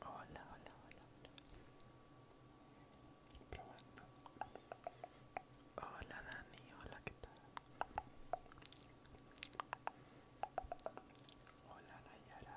Hola, hola, hola, hola. Probando. Hola Dani, hola, ¿qué tal? Hola Nayara.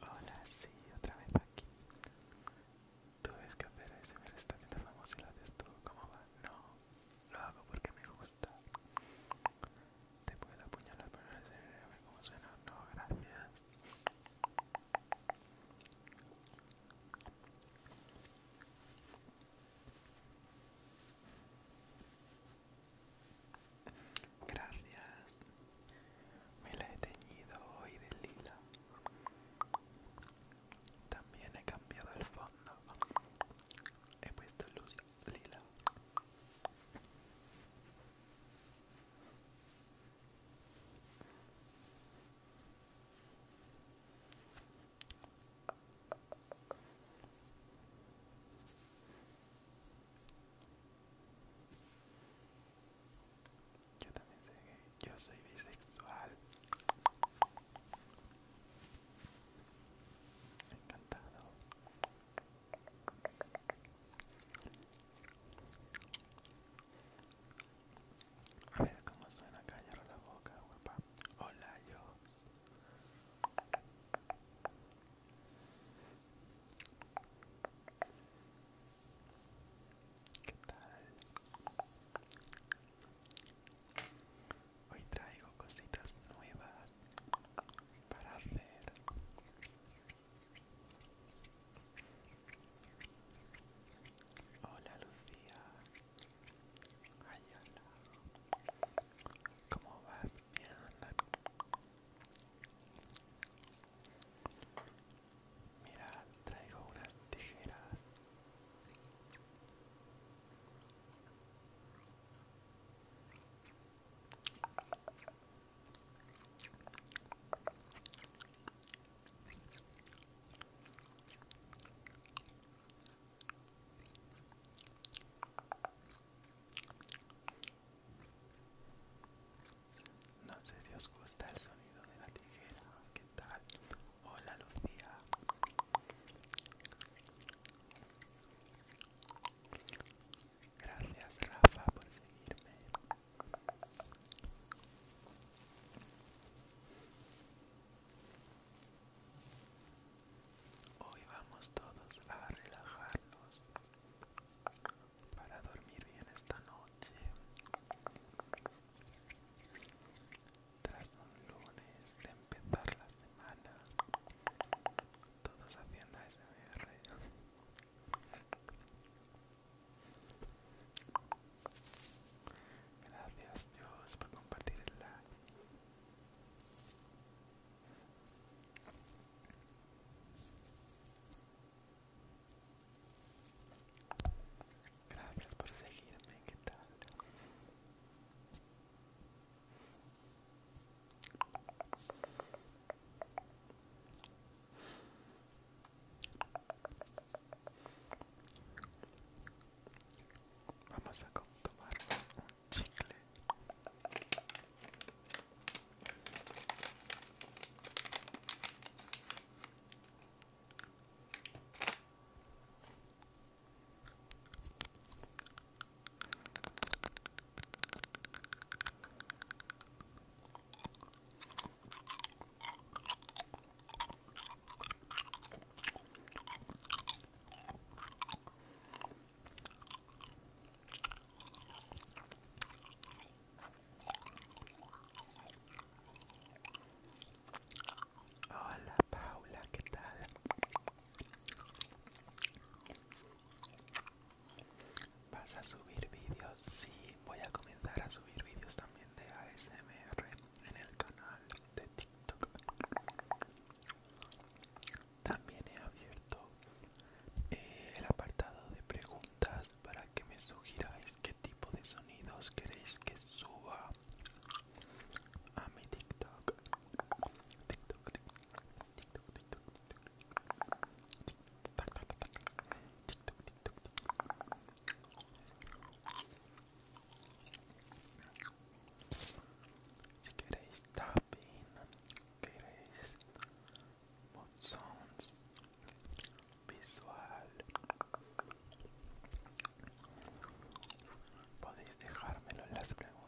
Hola, sí, otra vez aquí. tuves que hacer ese me está famoso y lo haces tú. ¿Cómo va? No lo hago porque me gusta. Te puedo apuñalar para ver cómo suena. No, gracias. Gracias. Me la he teñido hoy de lila. También he cambiado el fondo He puesto luz lila. Yo también sé que yo soy bisexual. Encantado. A ver cómo suena callar la boca, guapa. Hola, yo. ¿Qué tal? hoy traigo cositas nuevas para hacer hola Lucía Ayala ¿Cómo vas? Bien Mira, traigo unas tijeras no sé si os gusta el sonido de la tijera. ¿Qué tal? Hola Lucía. Gracias Rafa por seguirme. Hoy vamos todos a relajarnos para dormir bien esta noche. Tras un lunes de empezar la semana. Todos haciendo SMR. Gracias Dios por compartir el like. Gracias por seguirme, ¿qué tal? Vamos a tomar un chicle. Hola Paula, ¿qué tal? ¿Vas a subir vídeos? Sí, voy a comenzar a subir vídeos también de ASMR en el canal de TikTok. También he abierto eh, el apartado de preguntas para que me sugiráis qué tipo de sonidos queréis que suba a mi TikTok. TikTok, TikTok, si queréis tapping, queréis mod visual, podéis dejármelo en las preguntas.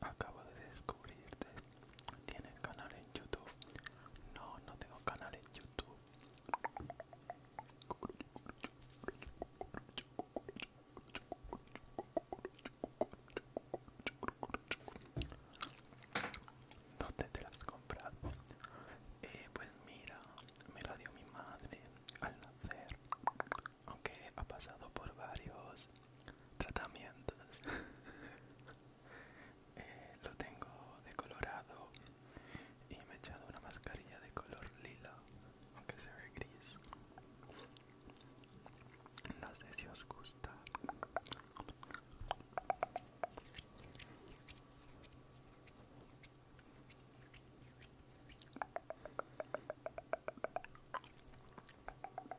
Acabo de descubrirte. ¿Tienes canal en YouTube? No, no tengo canal en YouTube. ¿Dónde te las has Eh, pues mira, me la dio mi madre al nacer aunque ha pasado por varios tratamientos eh, lo tengo decolorado y me he echado una mascarilla de color lila aunque se ve gris no sé si os gusta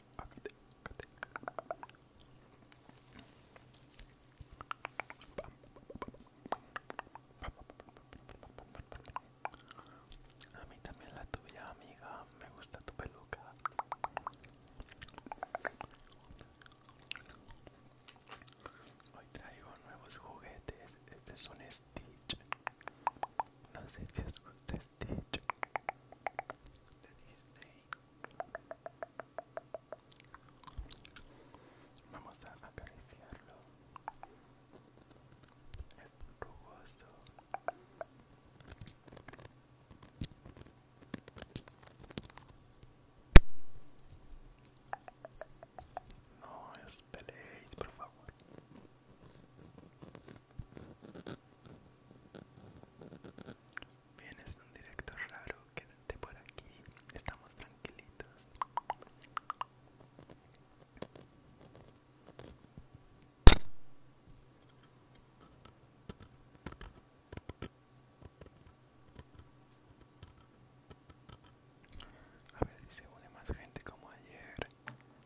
A mí también la tuya, amiga. Me gusta tu peluca. Hoy traigo nuevos juguetes. Este es un Stitch. No sé si es usted de Disney. Vamos a acariciarlo. Es rugoso. No os por favor. Bien, es un directo raro, quédate por aquí, estamos tranquilitos. A ver si se une más gente como ayer.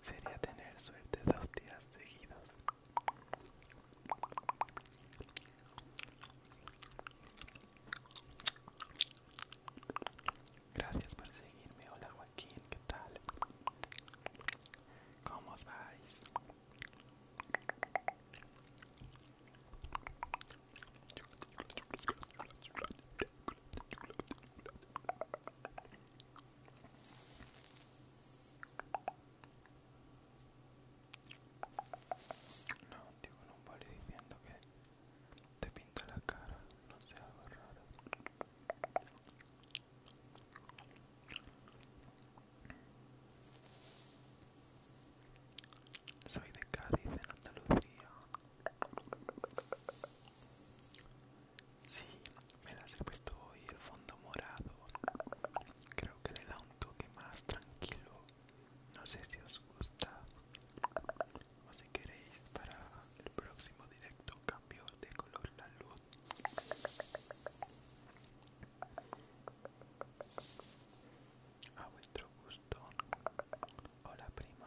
Sería tener suerte dos días seguidos. Gracias por seguirme. Hola Joaquín, ¿qué tal? ¿Cómo os vais? No, tío, con un diciendo que te pinta la cara, no sea algo raro. Soy de Cádiz, en Andalucía. Sí, me las he puesto hoy el fondo morado. Creo que le da un toque más tranquilo. No sé si os gusta o si queréis para el próximo directo cambio de color la luz. A vuestro gusto. Hola prima.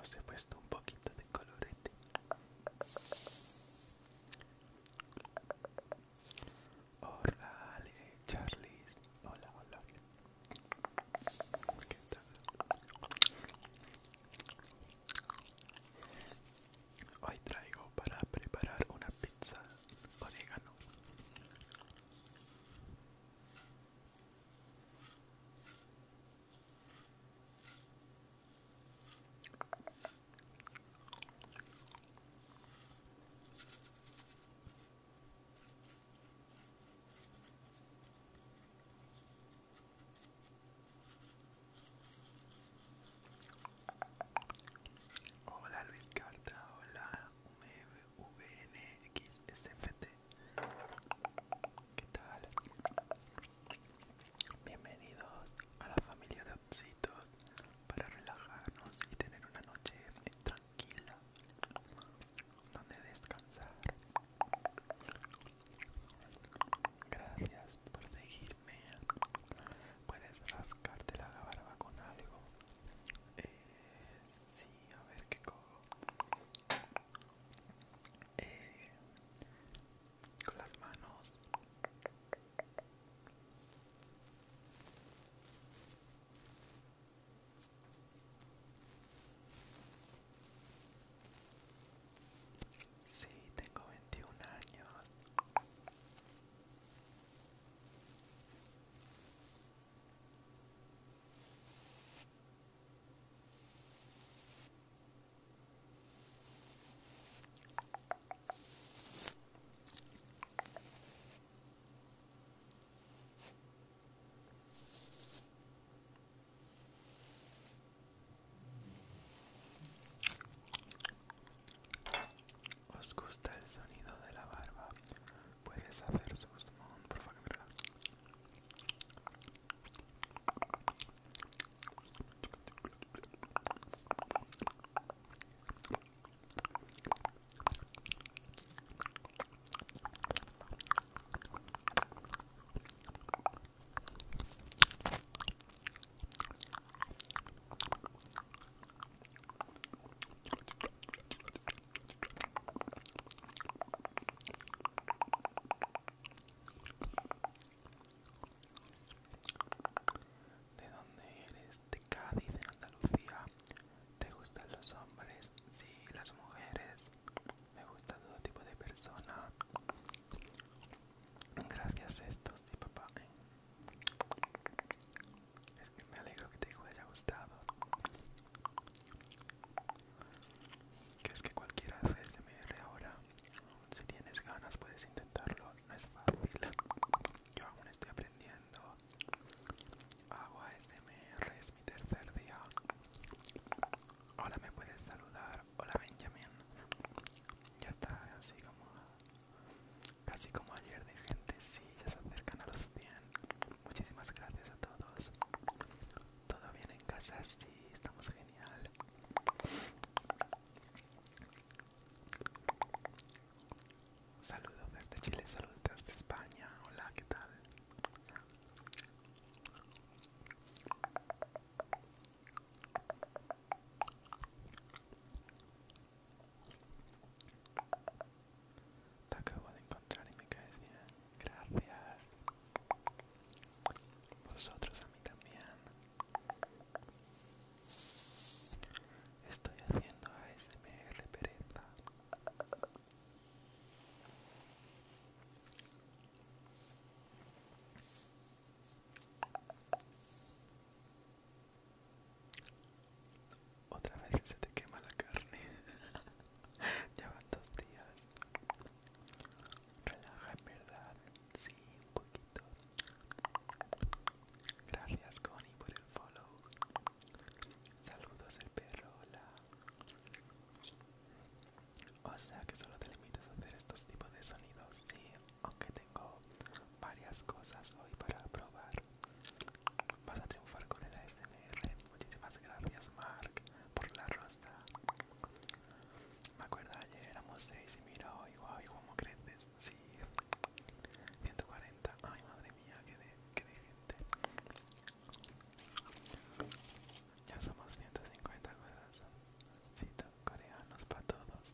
Os he puesto un poquito de colorete. Hola, Charlie. Hola, hola. ¿Qué Hoy traigo para preparar una pizza orégano Hola Luis Carta, hola ve. VNXSFT. ¿Qué tal? Bienvenidos a la familia de Opsitos para relajarnos y tener una noche tranquila donde descansar. Gracias por seguirme. Puedes rascarte la barba con algo sí, a ver qué cojo. con las manos. Sí, tengo 21 años. ¿Os gusta el sonido de la barba? puedes hacer sus mon, por favor, ¿De dónde eres? De Cádiz, en Andalucía. ¿Te gustan los hombres? Sí, las mujeres. Me gusta todo tipo de persona. Gracias a esto, sí, papá. Es que me alegro que te haya gustado. Que es que cualquiera hace SMR ahora. Si tienes ganas puedes intentarlo. No es fácil. Yo aún estoy aprendiendo. Hago smr es mi tercer día. Hola, me puedes saludar. Hola, Benjamin. Ya está, así como. Casi como ayer de gente, sí, ya se acercan a los 100. Muchísimas gracias a todos. Todo bien en casa, sí, estamos genial. Saludos desde Chile, saludos desde España. Hola, ¿qué tal? Te acabo de encontrar y me caes bien. Gracias. Vosotros a mí también. Estoy haciendo a ASMR pereza. Otra vez se te quema la carne. ya van dos días. Relaja en verdad. Sí, un poquito. Gracias Connie por el follow. Saludos el perro, hola. O sea que solo te limitas a hacer estos tipos de sonidos, sí, aunque tengo varias cosas hoy para probar. Vas a triunfar con el ASMR. Muchísimas gracias, Mark, por la rosa. Me acuerdo ayer éramos 6 y mira hoy, guau, ¿y ¿cómo creces? Sí, 140. Ay, madre mía, que de, de gente. Ya somos 150 corazoncitos coreanos para todos.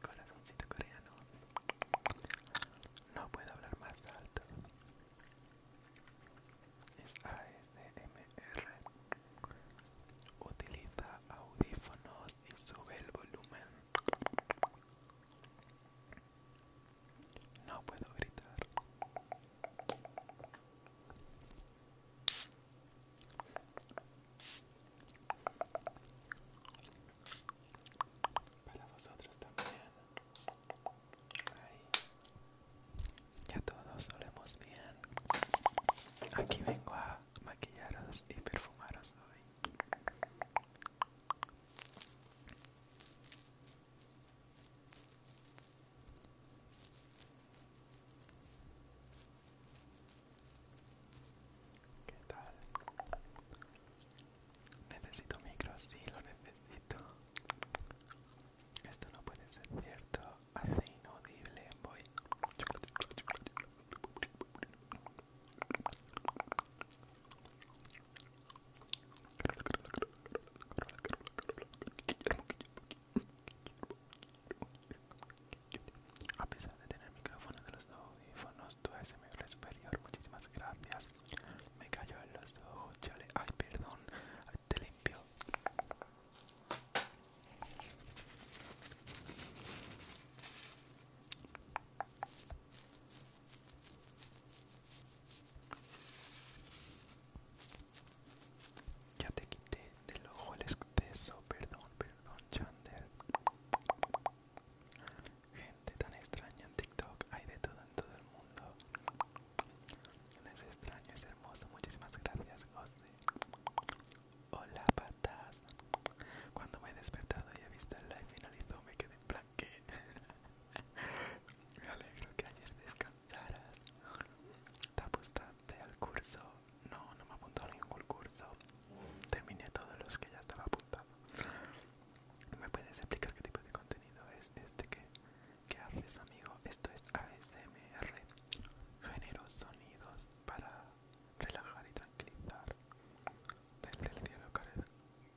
Corazoncito coreano. No puedo hablar más alto m r utiliza audífonos y sube el volumen no puedo gritar para vosotros también. Ya todos oremos bien. Aquí vengo a maquillaros y perfumaros hoy. ¿Qué tal? Necesito micro, sí, lo necesito. Esto no puede ser cierto. Hace inaudible. Voy. A pesar de tener micrófono de los audífonos, tu superior, muchísimas gracias. Me cayó en los ojos, chale. Ay, perdón. te limpio. Ya te quité del ojo el exceso, perdón, perdón, Chander tan extraño en TikTok, hay de todo en todo el mundo. Es extraño, es hermoso, muchísimas gracias, José. Hola, patas. Cuando me he despertado y he visto el live finalizó, me quedé en plan me alegro que ayer descansaras. ¿Te apuntaste al curso? No, no me apuntó a ningún curso. Terminé todos los que ya estaba apuntado. ¿Me puedes explicar qué tipo de contenido es este que, haces, amigo? Esto es ASMR. Genero sonidos para relajar y tranquilizar. Desde el cielo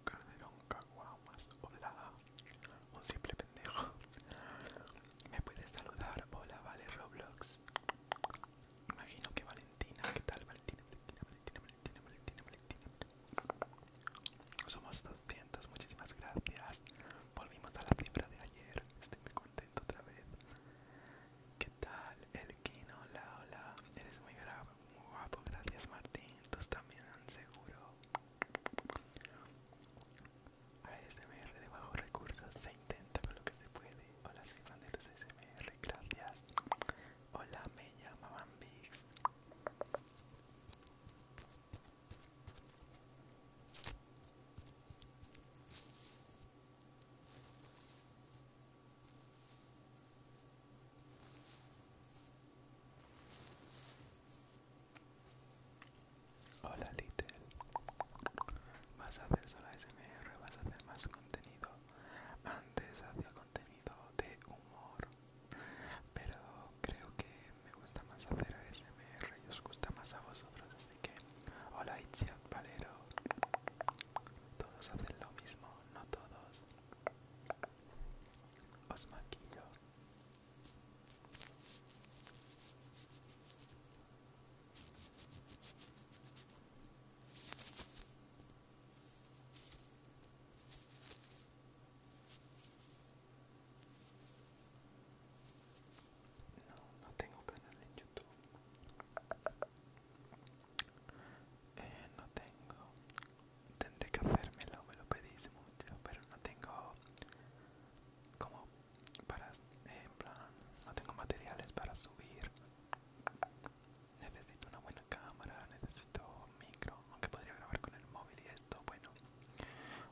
Calderón Caguamas. Hola. Un simple pendejo. ¿Me puedes saludar? Hola, vale, Roblox. Imagino que Valentina. ¿Qué tal, Valentina, Valentina, Valentina, Valentina, Valentina. Somos 200, muchísimas gracias. Volvimos a la cifra de ayer. Estoy muy contento otra vez. ¿Qué tal? El Kino, hola, hola. Eres muy, guapo, gracias Martín. Tú también, seguro. ASMR de bajos recursos se intenta con lo que se puede. Hola, soy fan de tus ASMR, gracias. Hola, me mamá, Vix. Hola Little, vas a hacer solo SMR, vas a hacer más contenido. Antes hacía contenido de humor pero creo que me gusta más hacer ASMR y os gusta más a vosotros así que hola Itziat Valero todos hacen lo mismo no todos os maquillo no, no tengo canal en YouTube. Eh, no tengo. Tendré que hacérmelo, me lo pedís mucho, pero no tengo como para eh, en plan no tengo materiales para subir necesito una buena cámara necesito un micro aunque podría grabar con el móvil y bueno,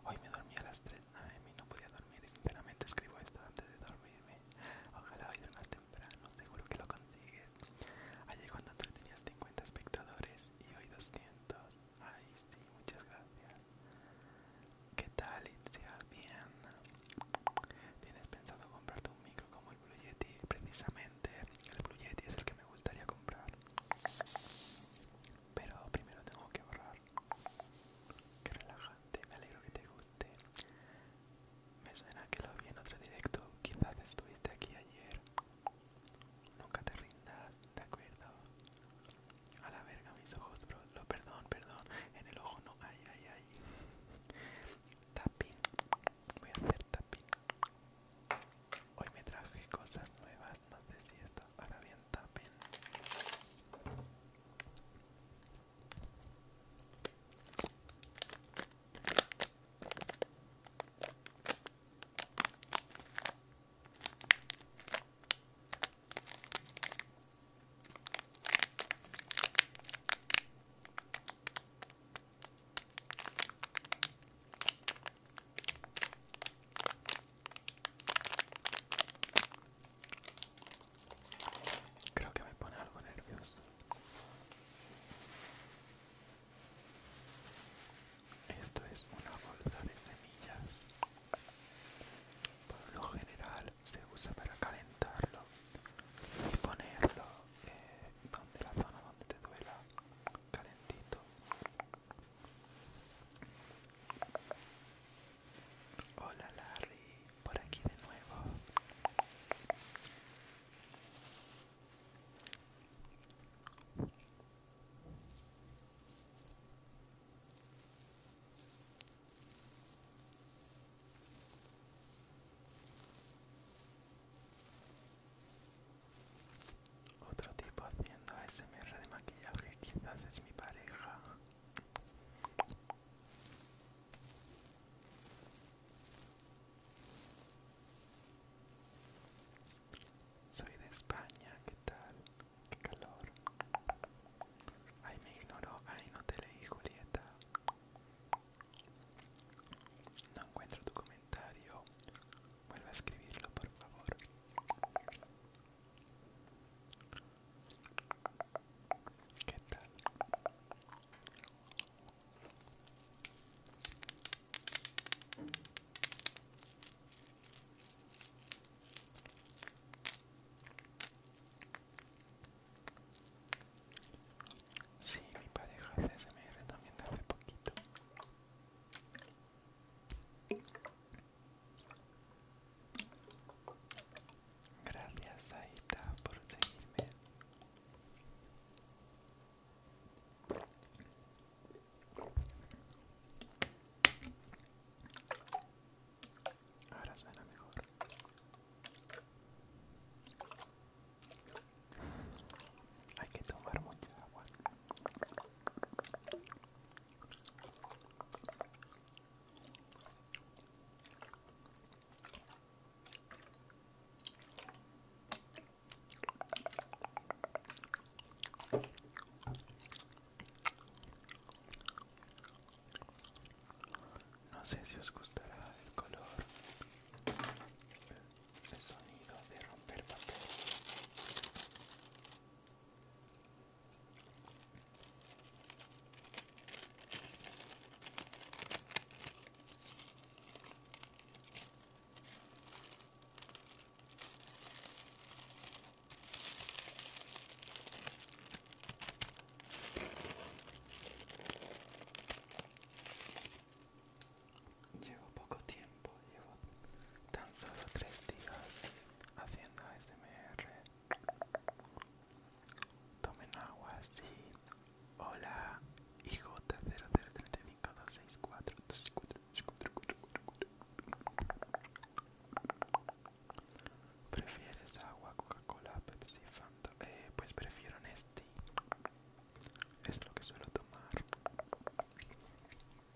hoy me dormí a las 3 a no podía dormir, sinceramente escribo esto antes de dormirme, ojalá hoy más temprano, seguro que lo consigues. Ayer cuando tú 50 espectadores y hoy 200, ay sí, muchas gracias. ¿Qué tal, Itzia? Bien. ¿Tienes pensado comprarte un micro como el Blue Yeti? Precisamente, el Blue Yeti es el que me gustaría comprar pero primero tengo que borrar. Qué relajante, me alegro que te guste. Me suena que lo vi en otro directo, quizás estuviste aquí ayer. Nunca te rindas, ¿de acuerdo? A la verga mis ojos, bro. Lo, perdón, perdón. En el ojo no. Ay, ay, ay. Tapping. Voy a hacer tapping. Hoy me traje cosas nuevas, no sé si esto hará bien también. Creo que me pone algo nervioso. Esto es una bolsa de semillas. Por lo general se usa para calentarlo y ponerlo en eh, donde la zona donde te duela calentito Hola Larry, por aquí de nuevo. Otro tipo haciendo SMR de maquillaje, quizás es mi pareja. Soy de España, ¿qué tal? Qué calor. Ay, me ignoro Ay, no te leí, Julieta. No encuentro tu comentario. Vuelve a escribirlo, por favor. ¿Qué tal? Sí, mi pareja hace SMR también hace poquito. Gracias Aita por seguirme. Ahora suena mejor. Hay que tomar mucha agua. No sé si os gustará el color, el sonido de romper papel. Llevo poco tiempo llevo tan solo tres días haciendo SMR. Tomen agua, sí. Hola, IJ003526424. ¿Prefieres agua, Coca-Cola, Pepsi, Fanta? Eh, pues prefiero este Es lo que suelo tomar.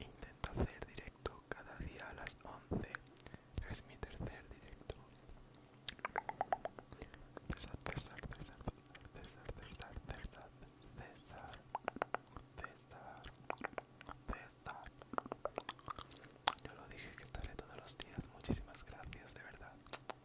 Intento hacer directo cada día a las 11. Es mi tercer directo. César, César, César, César, César, César, César, César, César. Yo lo dije que estaré todos los días. Muchísimas gracias, de verdad.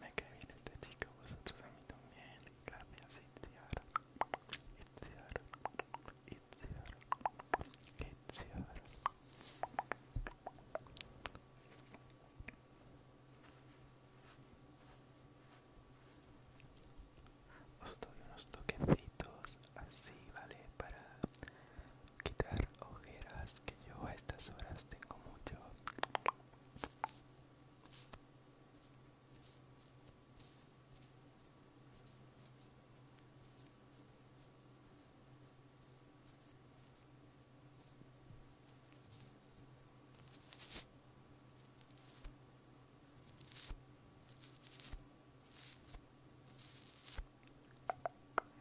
Me cae bien este chico, vosotros a mí también. Gracias, Itziar. Itziar. Itziar. Itziar. Os doy unos toquecitos así, ¿vale? Para quitar ojeras que yo a estas horas tengo mucho.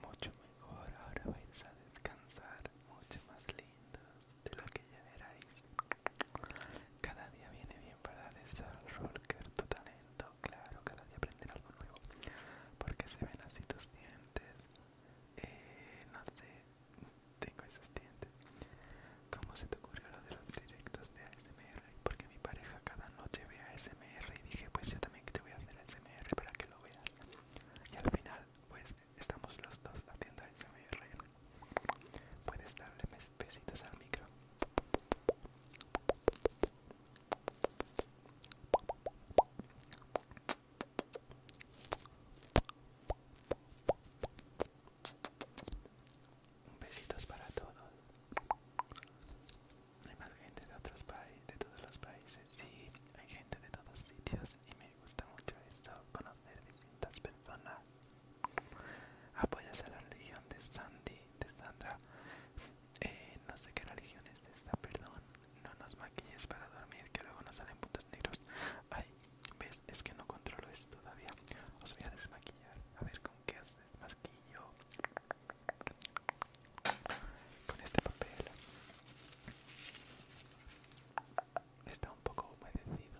Mucho mejor, ahora vais a descansar, mucho más lindo de lo que ya Cada día viene bien para desarrollar tu talento, claro, cada día aprender algo nuevo. Porque se ven así tus dientes. Eh, no sé, tengo esos dientes. ¿Cómo se te ocurrió lo de los directos de ASMR? Porque mi pareja cada noche ve ASMR y dije, pues yo también te voy a hacer ASMR para que lo veas. Y al final, pues estamos los dos haciendo el rey Puedes darle besitos al micro. Besitos para todos. Hay más gente de otros países, de todos los países. Sí, hay gente de todos sitios y me gusta mucho esto, conocer distintas personas. Apoyas ah, pues a la religión de Sandy, de Sandra. Eh, no sé qué religión es esta, perdón. No nos maquilles para dormir, que luego nos salen puntos negros. Ay, ves, es que no controlo esto todavía. Os voy a desmaquillar. A ver con qué os desmaquillo. Con este papel. Está un poco humedecido.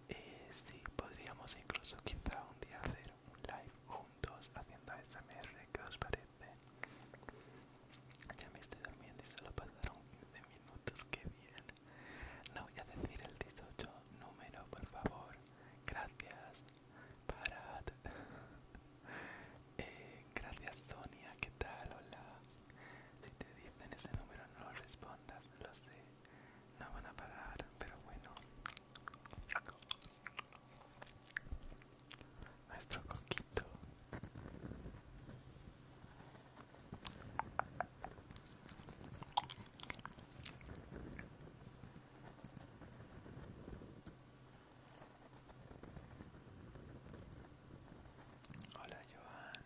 eh, sí, podríamos incluso quizá un día hacer un live juntos haciendo SMR, ¿qué os parece? Ya me estoy durmiendo y solo pasaron 15 minutos, que bien. No voy a decir el 18 número, por favor. Gracias, para eh, gracias, Sonia, ¿qué tal? Hola. Si te dicen ese número, no lo respondas, lo sé no van a parar, pero bueno. Nuestro coquito. Hola Joan.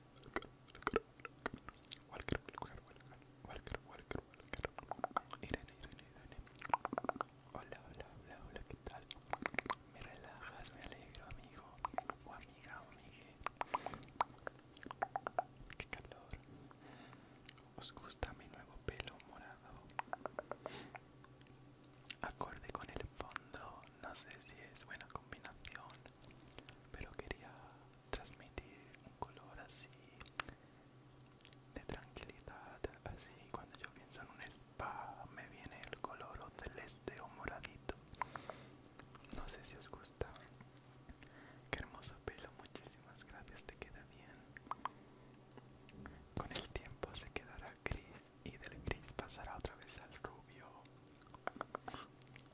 Walker, Walker, Walker, Walker, Walker, Irene, Irene, Irene. Hola, hola, hola, hola, ¿qué tal? Me relajas, me alegro, amigo o amiga o Qué calor. ¿Os gusta mi nuevo pelo morado? Acorde con el fondo, no sé si es buena combinación pero quería transmitir un color así de tranquilidad así cuando yo pienso en un spa me viene el color o celeste o moradito no sé si os gusta qué hermoso pelo muchísimas gracias te queda bien con el tiempo se quedará gris y del gris pasará otra vez al rubio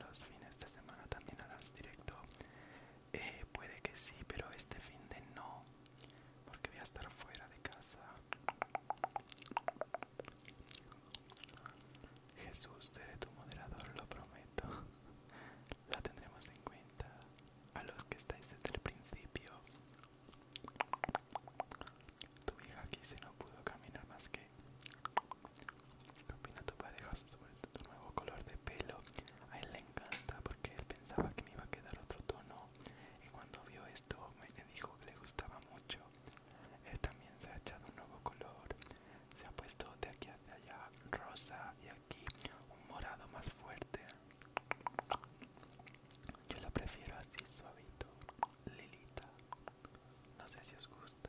los fines de semana también harás directo. Eh, puede que sí, pero este fin de no, porque voy a estar fuera de casa. Jesús, seré tu moderador, lo prometo. Lo tendremos en cuenta. A los que estáis desde el principio. Tu hija aquí se no pudo caminar más que ¿Qué tu pareja sobre tu nuevo color de pelo? A él le encanta porque él pensaba que me iba a quedar otro tono y cuando vio esto me dijo que le gustaba mucho. Él también se ha echado un nuevo color, se ha puesto de aquí hacia allá rosa y aquí un morado más fuerte. Yo lo prefiero así suavito, lilita. No sé si os gusta.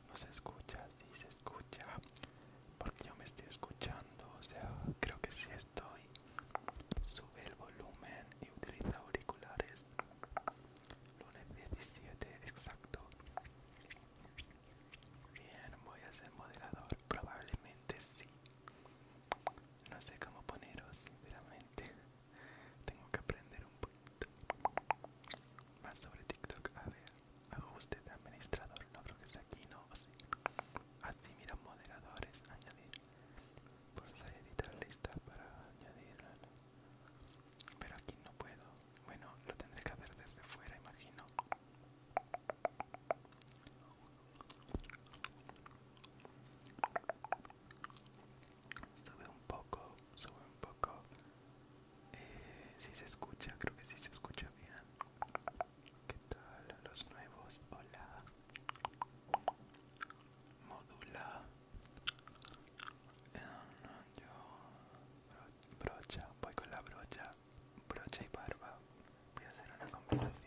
no se escucha, Sí, se escucha. Porque yo me estoy escuchando. O sea, creo que sí estoy. Sube el volumen y utiliza auriculares. Lunes 17, exacto. Bien, voy a ser moderador. Probablemente sí. No sé cómo poneros, sinceramente. Tengo que aprender un poquito más sobre TikTok. A ver ajuste de administrador no creo que sea aquí no así mira moderadores añadir pues a editar lista para añadir pero aquí no puedo bueno lo tendré que hacer desde fuera imagino sube un poco sube un poco eh, si se escucha, creo que si se escucha bien. ¿Qué tal los nuevos? Hola. Modula. Eh, brocha, voy con la brocha, brocha y barba. Voy a hacer una combinación.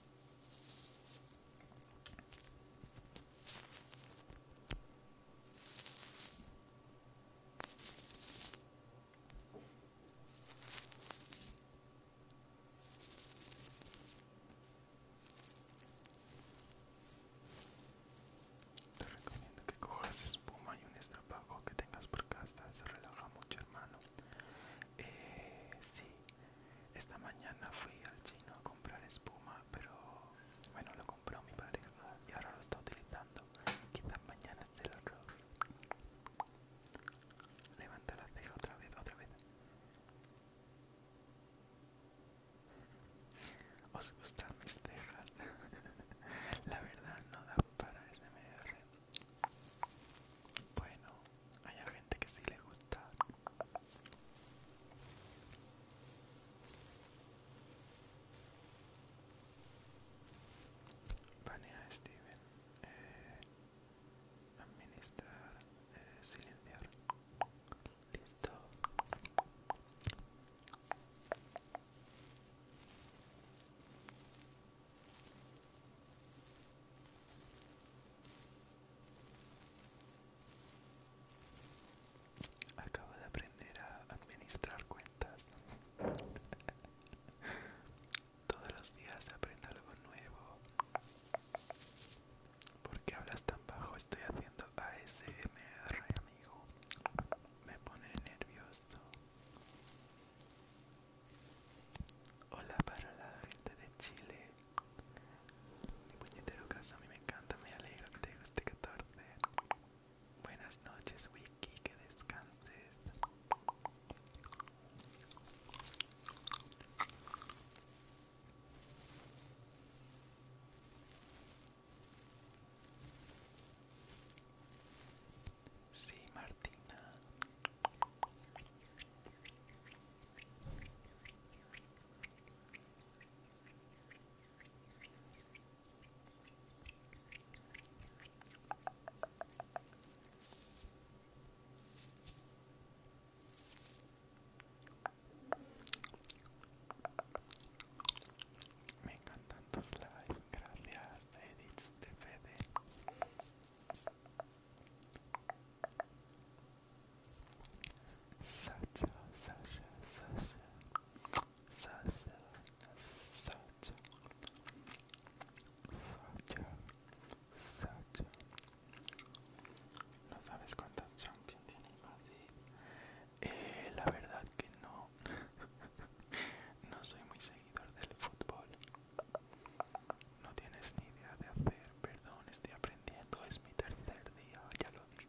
Te recomiendo que cojas espuma y un estrapajo que tengas por casa, se relaja mucho hermano. Eh, sí, esta mañana fui al chino a comprar espuma, pero bueno, lo compró mi pareja y ahora lo está utilizando. Quizás mañana se el robe. Levanta la ceja otra vez, otra vez. ¿Os gustan mis cejas? la verdad no da para SMR. Bueno, hay gente que sí le gusta. Panea Steven. Eh, administrar. Eh, silenciar. Listo. Acabo de aprender a administrar cuentas. Todos los días aprendo algo nuevo. ¿Por qué hablas tan bajo? Estoy haciendo ASMR, amigo. Me pone nervioso. Hola para la gente de Chile. Mi puñetero casa a mí me encanta, me alegro que te guste 14. Buenas noches, Wiki, que descanses. Sí, Martina. Me encantan tus lives, gracias Edith de Fede. Sasha, Sasha, Sasha, Sasha, Sasha, Sasha, Sasha. No sabes cuántas champions tiene el Madrid. Eh, la verdad que no. no soy muy seguidor del fútbol. No tienes ni idea de hacer, perdón, estoy aprendiendo, es mi tercer día, ya lo dije.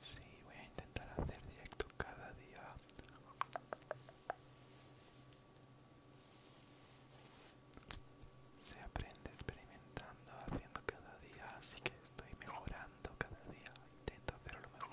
Sí, voy a intentar hacer directo cada día. Se aprende experimentando, haciendo cada día, así que estoy mejorando cada día intento hacerlo mejor.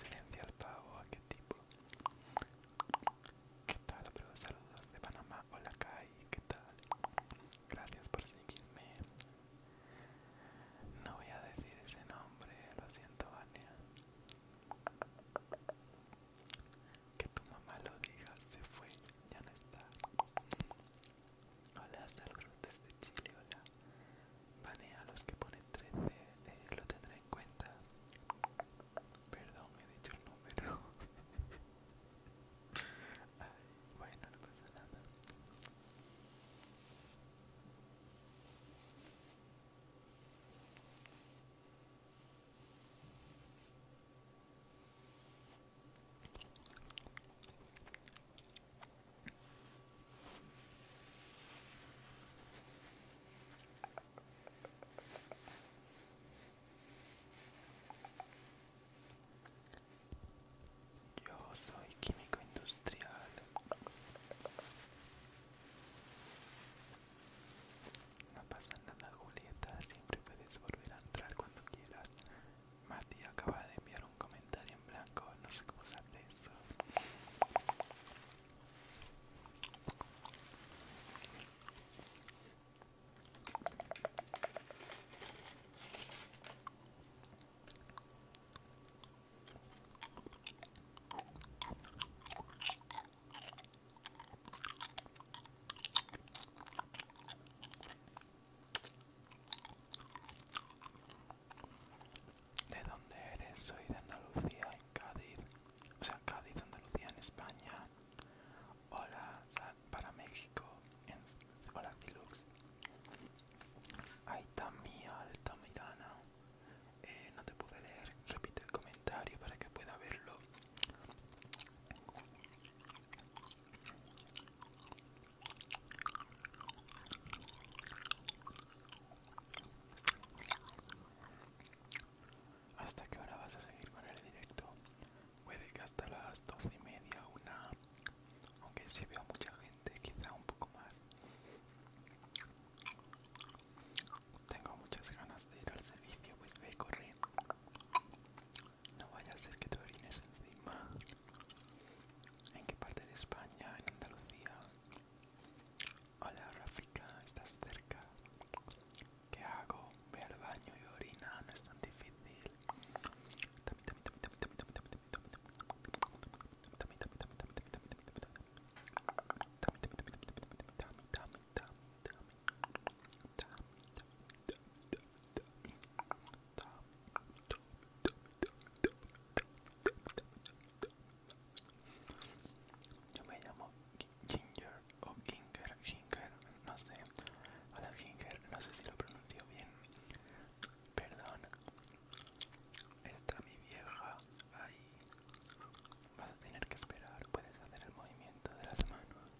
silencio al pavo, ¿a qué tipo? ¿Qué tal, Saludos de Panamá. Hola, Kai, ¿qué tal? Gracias por seguirme. No voy a decir ese nombre, lo siento, Vania. Que tu mamá lo diga, se fue, ya no está. Hola, saludos desde Chile, hola. Vale, a los que ponen 13, eh, lo tendré en cuenta. Perdón, he dicho el número. Ay, bueno, no pasa nada. Yo soy químico industrial. No pasa nada, Julieta. Siempre puedes volver a entrar cuando quieras. Mati acaba de enviar un comentario en blanco, no sé cómo se hace eso. ¿De dónde eres? Soy de Andalucía, en Cádiz. O sea, Cádiz, Andalucía, en España. Hola, para México. En, hola, Ahí está mía, Altamirana. Eh, no te pude leer. Repite el comentario para que pueda verlo. ¿Hasta qué hora vas a seguir con el directo? Puede que hasta las doce y media, una. Aunque si veo mucha gente, quizá un poco más. Tengo muchas ganas de ir al servicio, pues ve corre. No vaya a ser que te orines encima. ¿En qué parte de España? ¿En Andalucía? Hola Ráfica, ¿estás cerca? ¿Qué hago? Ve al baño y orina, no es tan difícil. Yo me llamo Ginger o Ginger, Ginger, no sé. Hola Ginger, no sé si lo pronuncio bien. Perdón. Está mi vieja ahí. Vas a tener que esperar. Puedes hacer el movimiento de las manos.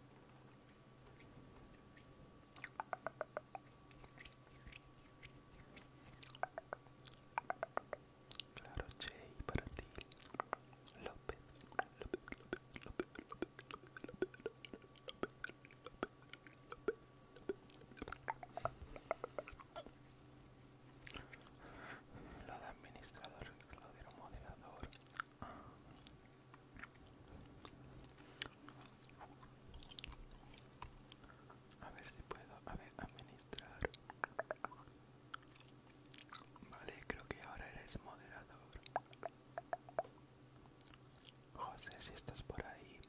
Claro, y para ti. López, Lo de administrador, lo de moderador a ver si puedo administrar vale creo que ahora eres moderador José si estás por ahí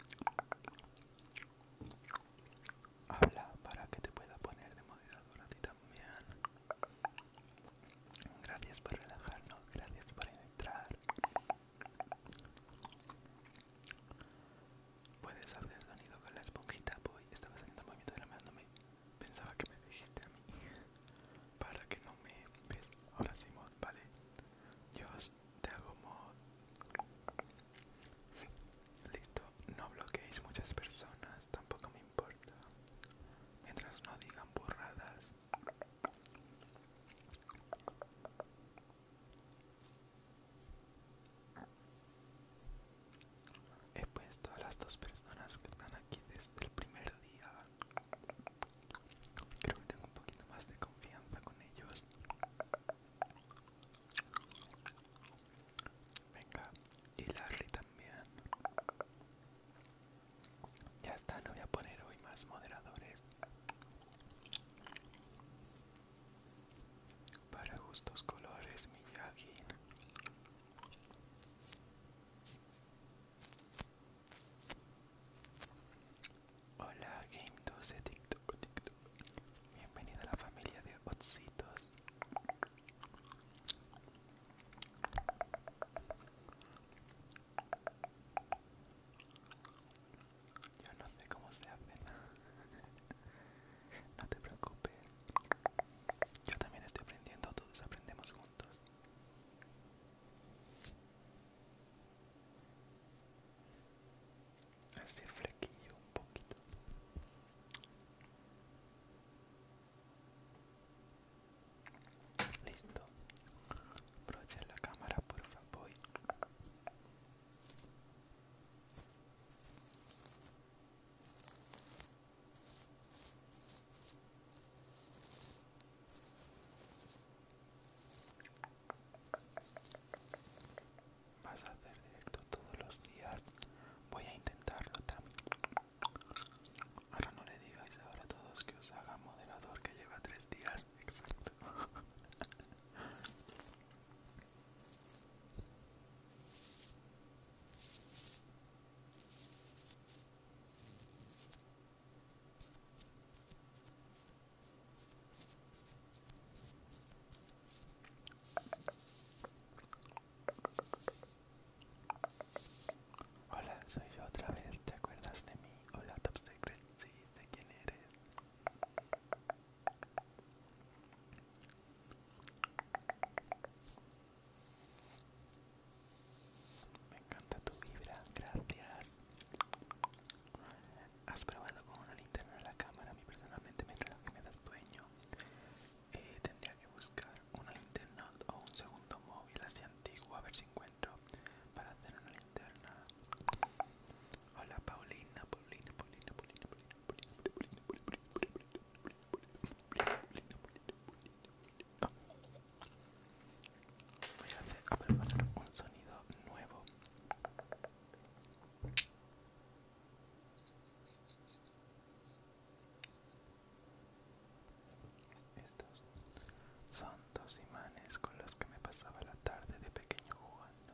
habla para que te pueda poner de moderador a ti también gracias por relajarnos gracias por entrar Puedes hacer sonido con la esponjita, voy. Estaba haciendo movimiento de la pensaba que me dijiste a mí. Para que no me Ahora sí, mod, vale. Yo te hago mod. Listo. No bloqueéis muchas personas, tampoco me importa. Mientras no digan burradas. He puesto a las dos personas que están aquí desde el primer día. Creo que tengo un poquito más de confianza con ellos. Venga, y Larry también. Ya está, no voy a poner hoy más moderadores. Para gustos colores, mi Yagin Hola Game 12 TikTok, TikTok. Bienvenida a la familia de Otsitos. Yo no sé cómo se hace No te preocupes. Yo también estoy aprendiendo, todos aprendemos juntos. Así flequillo un poquito. Listo. Brocha la cámara, por favor. Vas a hacer directo todos los días. Voy a intentarlo también. Ahora no le digáis ahora a todos que os haga moderador que lleva tres días. Exacto. Hola, soy yo otra vez, ¿te acuerdas de mí? Hola Top Secret, sí, sé quién eres. Me encanta tu vibra, gracias. Has probado con una linterna la cámara, a mí personalmente me da sueño. Eh, tendría que buscar una linterna o un segundo móvil así antiguo, a ver si encuentro para hacer una linterna. Hola Paulina, Paulina, Paulina, Paulina, Paulina. Voy a hacer, un sonido nuevo. Estos son dos imanes con los que me pasaba la tarde de pequeño jugando.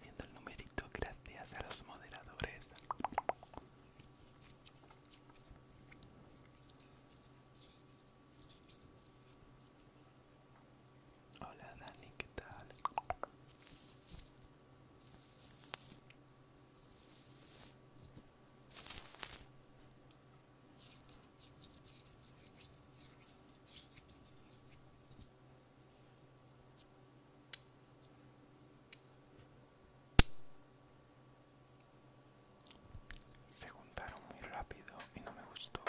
viendo el numerito gracias a los moderadores. Hola Dani, ¿qué tal? Se juntaron muy rápido y no me gustó.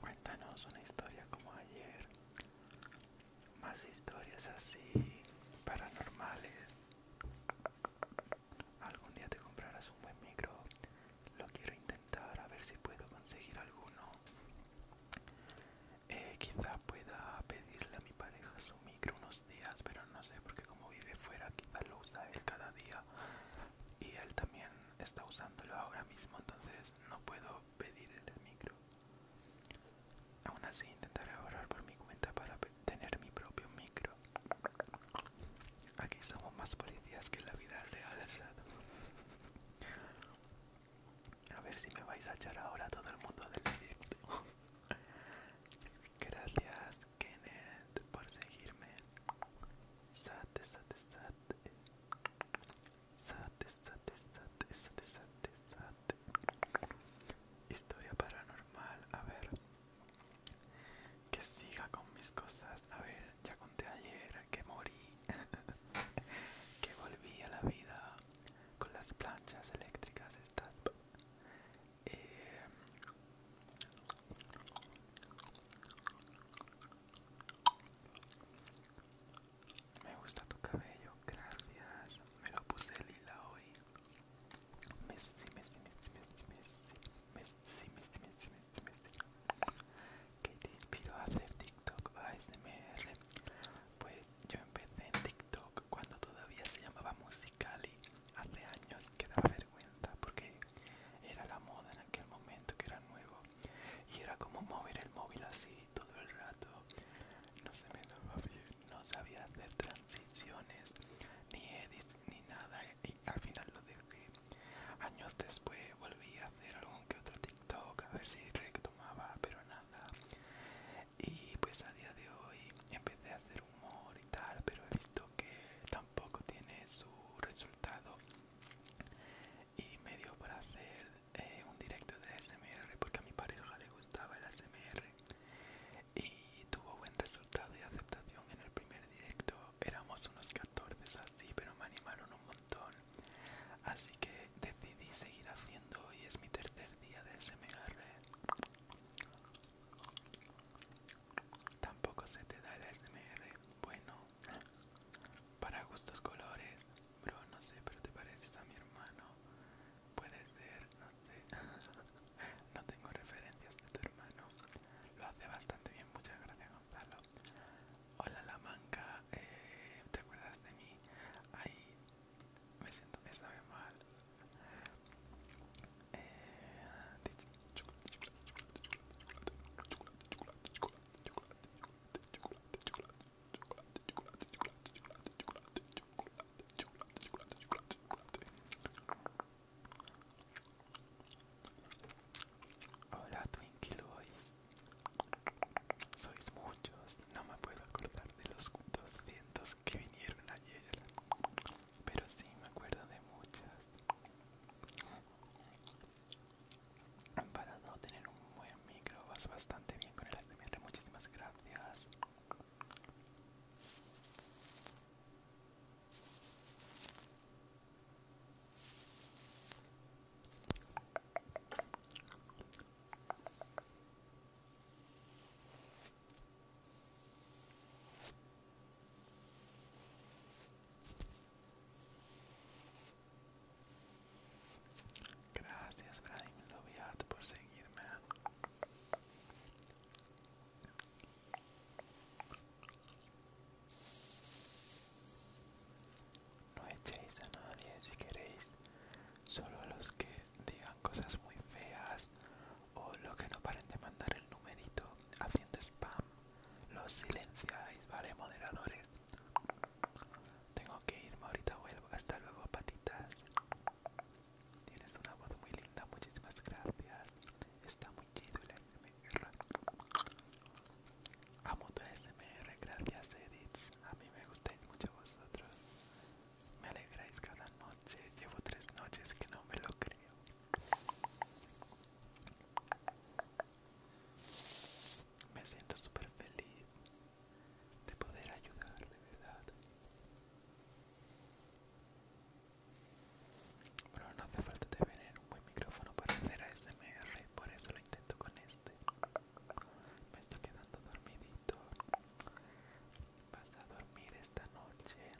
Cuéntanos una historia como ayer. Más historias así, paranormales. Algún día te comprarás un buen micro. Lo quiero intentar a ver si puedo conseguir alguno. Eh, quizá pueda pedirle a mi pareja su micro sé días, pero no sé, porque como vive fuera, quizá lo usa él cada día y él también está usándolo ahora mismo, entonces no puedo pedir el micro. Aún así intentaré ahorrar por mi cuenta para tener mi propio micro. Aquí somos más policías que la vida real, A ver si me vais a echar ahora todo el mundo del directo. Gracias, Kenneth por seguirme. sate, sate. Sate, sate, sate, sate, sate, Historia paranormal, a ver. Que siga con mis cosas. A ver, ya conté ayer que morí. que volví a la vida con las planchas eléctricas estas eh, me gusta tu cabello, gracias. Me lo puse lila hoy. Messi, Messi, Messi, Messi, Messi, Messi, te inspiró a hacer TikTok ASMR? Pues yo empecé en TikTok cuando todavía se llamaba música Cali hace años que daba vergüenza porque era la moda en aquel momento que era nuevo y era como mover el móvil así todo el rato no se me daba bien no sabía hacer transiciones ni edits ni nada y al final lo dejé años después volví a hacer algún que otro tiktok a ver si retomaba pero nada y pues a día de hoy empecé a hacer humor y tal pero he visto que poco tiene su resultado y me dio para hacer eh, un directo de SMR porque a mi pareja le gustaba el SMR y tuvo buen resultado y aceptación en el primer directo éramos unos 14 así pero me animaron un montón así que decidí seguir haciendo y es mi tercer día de SMR Tampoco se te da el SMR. Bueno, para gustos colores, bro, no sé, pero te pareces a mi hermano. Puede ser, no sé. no tengo referencias de tu hermano. Lo hace bastante bien, muchas gracias, Gonzalo. Hola, la manca. Eh, ¿Te acuerdas de mí? Ay, me siento, me sabe mal. Hola Twinkie Sois muchos, no me puedo acordar de los 200 que vinieron ayer pero sí me acuerdo de muchas. Para no tener un buen micro vas bastante bien con el ASMR, muchísimas gracias. Gracias, Bradim Loviat, por seguirme. No echéis a nadie si queréis, solo a los que digan cosas muy feas o lo que no paren de mandar el numerito haciendo spam los silenciáis vale moderadores tengo que irme ahorita vuelvo hasta luego patitas tienes una voz muy linda muchísimas gracias está muy chido el smr amo tu smr gracias edits a mí me gustáis mucho vosotros me alegráis cada noche llevo tres noches que no me lo creo me siento súper feliz de poder ayudar, de ¿verdad? Bueno, no hace falta tener un buen micrófono para hacer ASMR, por eso lo intento con este. Me estoy quedando dormidito. Vas a dormir esta noche.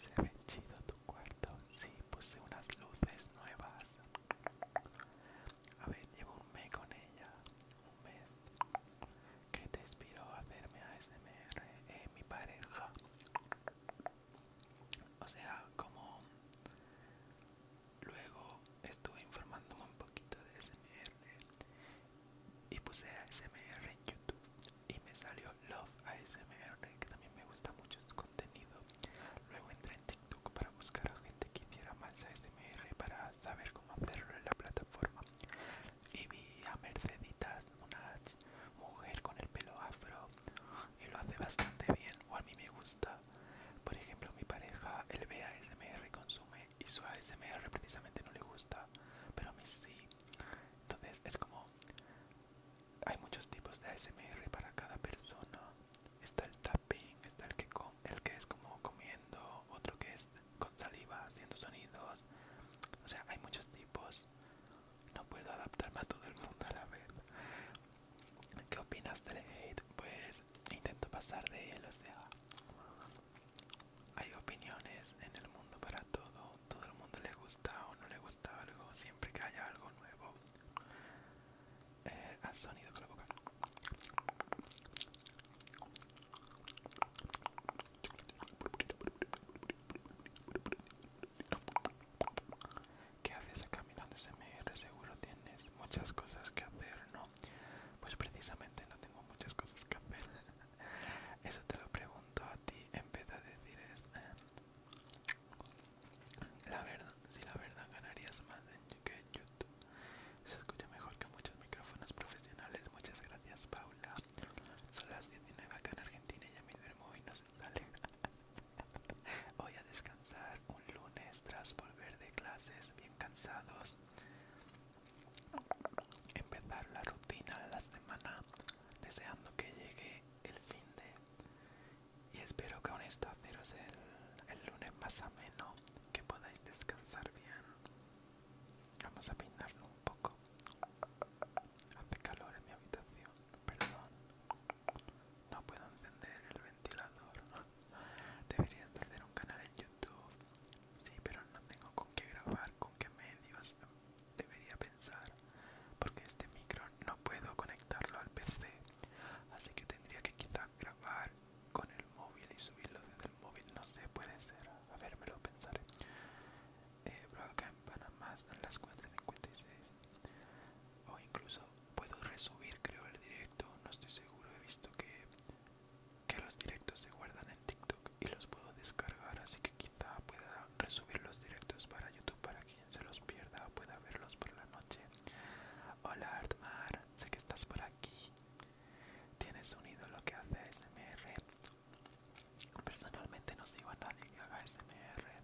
Se ve chido tu cuarto. Sí, puse unas luces nuevas. A ver, llevo un mes con ella. Un mes. que te inspiró a hacerme ASMR? en eh, mi pareja. O sea, como luego estuve informándome un poquito de ASMR y puse ASMR en YouTube y me salió Love ASMR, que también me gusta mucho su contenido. Luego en para buscar a gente que hiciera más ASMR para saber cómo hacerlo en la plataforma y vi a Merceditas, una mujer con el pelo afro y lo hace bastante bien o a mí me gusta. Por ejemplo, mi pareja, él ve ASMR, consume y su ASMR precisamente no le gusta, pero a mí sí. Entonces es como hay muchos tipos de ASMR para cada persona está el tapping, está el que, el que es como comiendo, otro que es con saliva haciendo sonidos. O sea, hay muchos tipos. No puedo adaptarme a todo el mundo a la vez. ¿Qué opinas del hate? Pues intento pasar de él, o sea, hay opiniones en el mundo para todo. Todo el mundo le gusta o no le gusta algo, siempre que haya algo nuevo. Eh, sonido con la boca. ¿Qué haces caminando SMR? Seguro tienes muchas cosas que hacer, ¿no? Pues precisamente no tengo muchas cosas que hacer. Eso te lo pregunto a ti en vez de decir es... la verdad, si la verdad ganarías más que en se escucha mejor que muchos micrófonos profesionales. Muchas gracias, Paula. Son las 19 acá en Argentina Ya a duermo y no se sale. Voy a descansar un lunes tras volver de clases bien cansados. Empezar la rutina de la semana deseando que llegue el fin de y espero que aún esto haceros el, el lunes más ameno que podáis descansar bien. Vamos a peinarlo un poco. Hace calor en mi habitación, perdón. No puedo encender el ventilador. Debería hacer un canal en YouTube. Sí, pero no tengo con qué grabar, con qué medios. Debería pensar, porque este micro no puedo conectarlo al PC. Así que tendría que quitar grabar con el móvil y subirlo desde el móvil, no sé, puede ser. A ver, me lo pensaré. Eh, acá en Panamá están las 4.56. O incluso puedo resubir, creo, el directo. No estoy seguro, he visto que, que los directos se guardan en TikTok y los puedo descargar. Así que quizá pueda resubir los directos para YouTube para quien se los pierda pueda verlos por la noche. Hola Artmar, sé que estás por aquí. ¿Tienes sonido lo que hace ASMR Personalmente no sigo a nadie que haga SMR.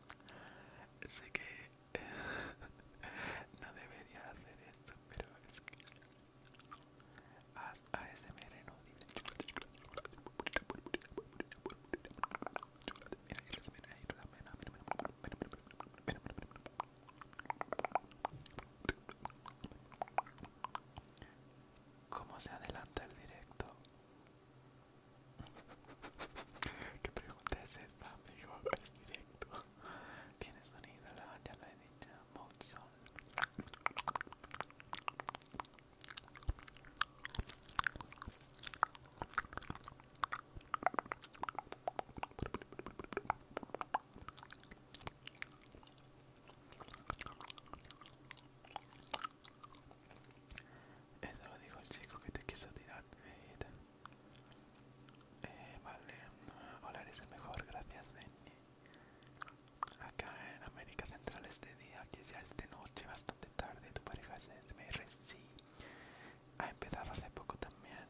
Sé que no debería hacer esto, pero es que... ASMR no ¿Cómo se adelanta el directo? ¿Qué pregunta es esta, amigo? Es directo. Tiene sonido, la, ya lo he dicho. mucho eso lo dijo el chico que te quiso tirar, eh, vale, hola, eres el mejor, gracias, Benny. Acá en América Central este día, que ya es noche, bastante tarde, tu pareja es SMR, sí. Ha empezado hace poco también.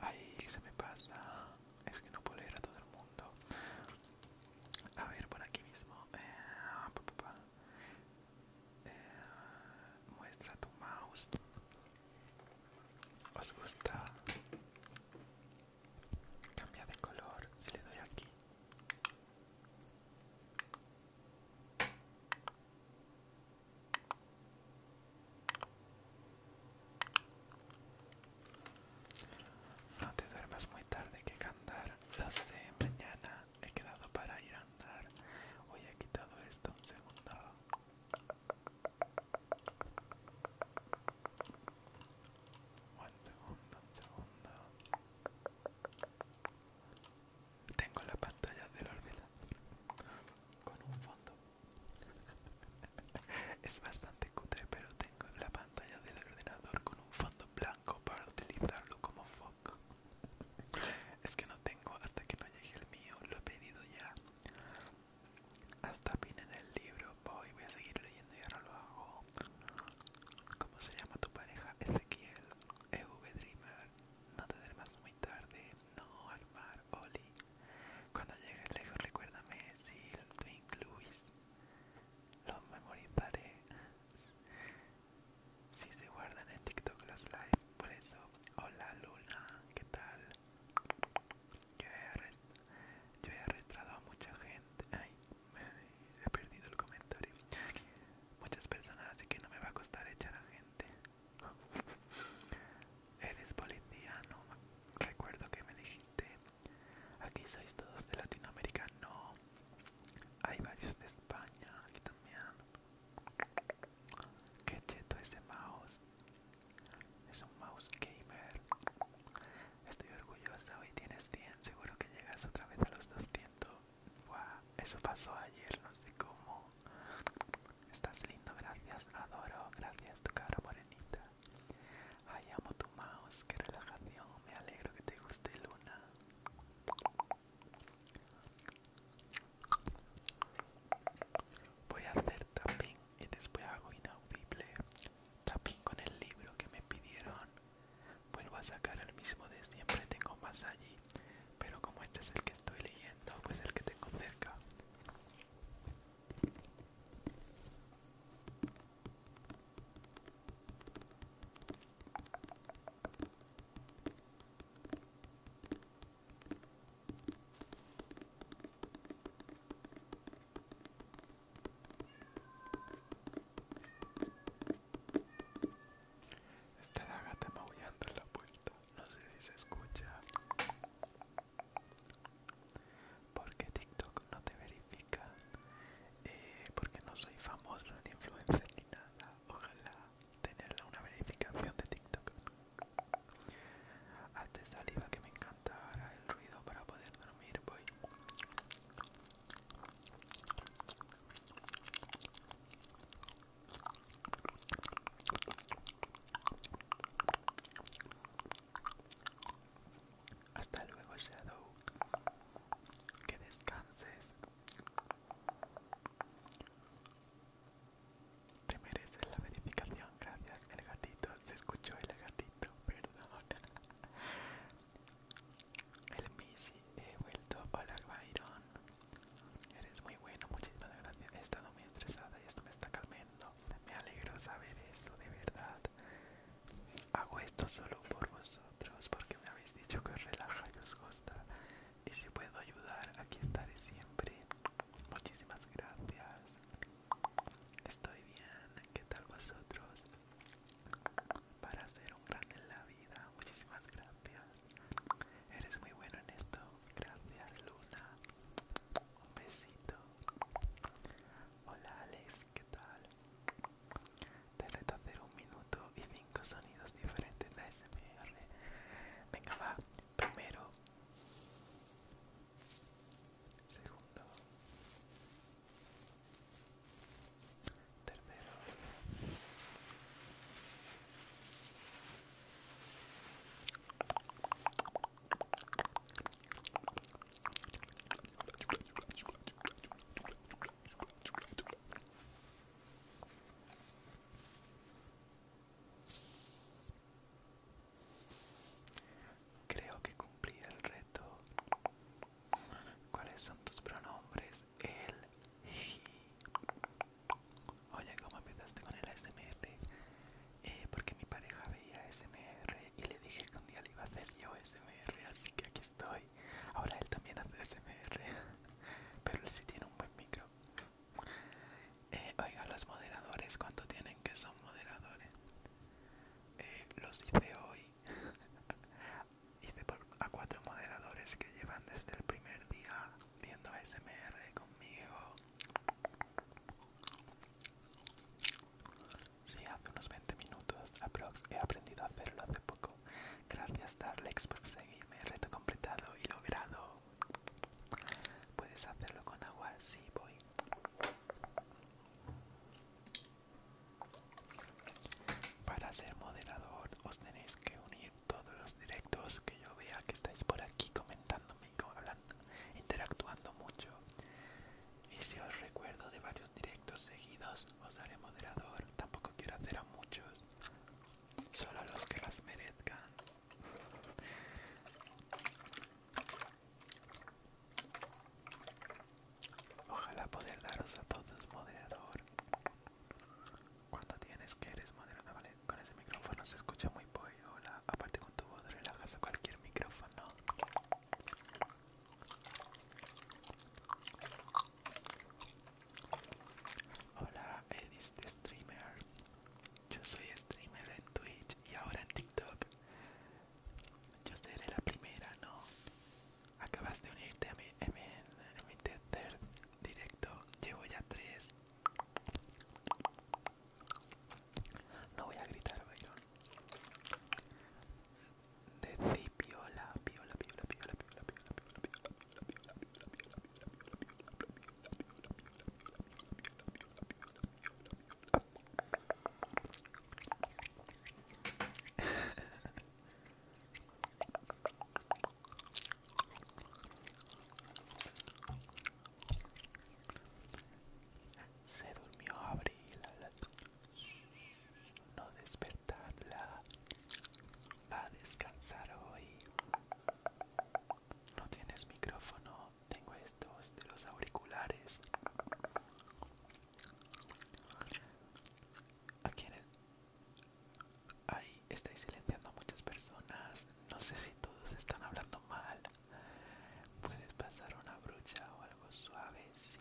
Ahí se me pasa es que no puedo leer a todo el mundo. A ver, por aquí mismo. Eh, ah, eh, muestra tu mouse. ¿Os gusta? Cambia de color si le doy aquí. No te duermas muy tarde que cantar. Las sé, mañana he quedado para ir a andar. Hoy he quitado esto un segundo. Un segundo, un segundo. Tengo la pantalla del ordenador con un fondo Es bastante cutre, pero tengo en la pantalla del ordenador con un fondo blanco para utilizarlo como foco. Es que no tengo hasta que no llegue el mío, lo he pedido ya. Hasta pin en el libro, voy, voy a seguir leyendo y ahora lo hago. ¿Cómo se llama tu pareja? Ezequiel, EV Dreamer. No te duermas muy tarde, no al mar, Oli. Cuando llegues lejos recuérdame si lo incluís. Los memorizaré. Si se guardan en TikTok los live, por eso. Hola Luna, ¿qué tal? Yo he, arrestado a mucha gente. Ay, he perdido el comentario. Muchas personas, así que no me va a costar echar a gente. Eres policía, no. Recuerdo que me dijiste Aquí sois todos de Latinoamérica, no. Hay varios de España, aquí también. Qué cheto ese mouse. Es un mouse gamer. Estoy orgullosa, hoy tienes 100, seguro que llegas otra vez a los 200. eso pasó ayer, no sé cómo. Estás lindo, gracias, adoro, gracias tu cara morenita. Ay, amo tu mouse, qué relajación, me alegro que te guste Luna. Voy a hacer tapping y después hago inaudible. Tapping con el libro que me pidieron. Vuelvo a sacar el mismo de siempre, tengo más allí. Pero como este es el que estoy leyendo, pues el que tengo cerca. Está la maullando en la puerta. No sé si se escucha porque TikTok no te verifica, eh, porque no soy famoso ni influencer ni nada. Ojalá tener una verificación de TikTok. Antes saliva que me encanta el ruido para poder dormir, voy. Hasta luego, Shadow. Que descanses. Te mereces la verificación, gracias. El gatito, se escuchó el gatito, perdón. El Missy, he vuelto. Hola, Byron. Eres muy bueno, muchísimas gracias. He estado muy estresada y esto me está calmando. Me alegro saber eso, de verdad. Hago esto solo por vosotros porque me habéis dicho que os relaja y os gusta. Y si puedo ayudar, aquí estaré siempre. Muchísimas gracias. Estoy bien. ¿Qué tal vosotros? Para ser un gran en la vida. Muchísimas gracias. Eres muy bueno en esto. Gracias, Luna. Un besito. Hola, Alex. ¿qué tal? Te reto a hacer un minuto y cinco sonidos diferentes de ASMR. Venga, va. Primero. Segundo. Tercero. Creo que cumplí el reto. ¿Cuáles son tus pronombres? El he. Oye, ¿cómo empezaste con el ASMR? Eh, porque mi pareja veía ASMR y le dije que un día le iba a hacer yo SMR, así que aquí estoy. Ahora él también hace SMR, pero él sí tiene un buen micro. Eh, oiga, los moderadores, ¿cuánto tienen que son moderadores? Eh, los hice hoy. hice a cuatro moderadores que llevan desde el primer día viendo SMR conmigo. Sí, hace unos 20 minutos He aprendido a hacerlo hace poco. Gracias Darlex por seguirme. Reto completado y logrado. ¿Puedes hacerlo con agua? Sí, voy. Para ser moderador os tenéis que unir todos los directos que yo vea que estáis por aquí comentándome, hablando, interactuando mucho y si os recuerdo de varios directos seguidos, os daré moderador. Tampoco quiero hacer a muchos, solo a los que las merezcan. Ojalá poder daros a todos moderador. Cuando tienes que eres moderador, vale, con ese micrófono se escucha muy pollo. Hola, aparte con tu voz relajas a cualquier micrófono. Hola, Edis eh, Streamers. Yo soy streamer en Twitch y ahora en TikTok. Yo seré la primera, ¿no? Acabas de unirte a mi, mi, tercer directo. Llevo ya tres. No voy a gritar, Byron. Decí piola, piola, piola, piola, piola, piola, piola, piola, piola, piola, se durmió abril no despertarla. Va a descansar hoy. No tienes micrófono. Tengo estos de los auriculares. ¿A quiénes? Ahí estáis silenciando a muchas personas. No sé si todos están hablando mal. Puedes pasar una brucha o algo suave, sí.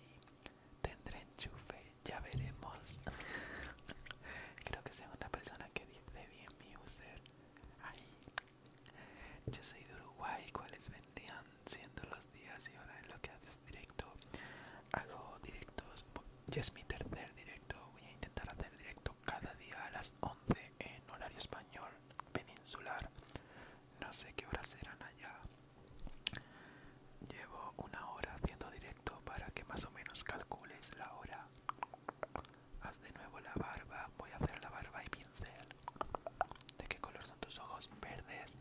Tendré enchufe, ya veremos. Creo que segunda persona que dice bien mi user. ahí Yo soy de Uruguay, ¿cuáles vendrían siendo los días y ahora en lo que haces directo? Hago directos, ya es mi tercer directo, voy a intentar hacer directo cada día a las 11 en horario español peninsular. No sé qué horas serán allá. Llevo una hora haciendo directo para que más o menos calcules la hora. Haz de nuevo la barba, voy a hacer la barba y pincel. ¿De qué color son tus ojos? Verdes.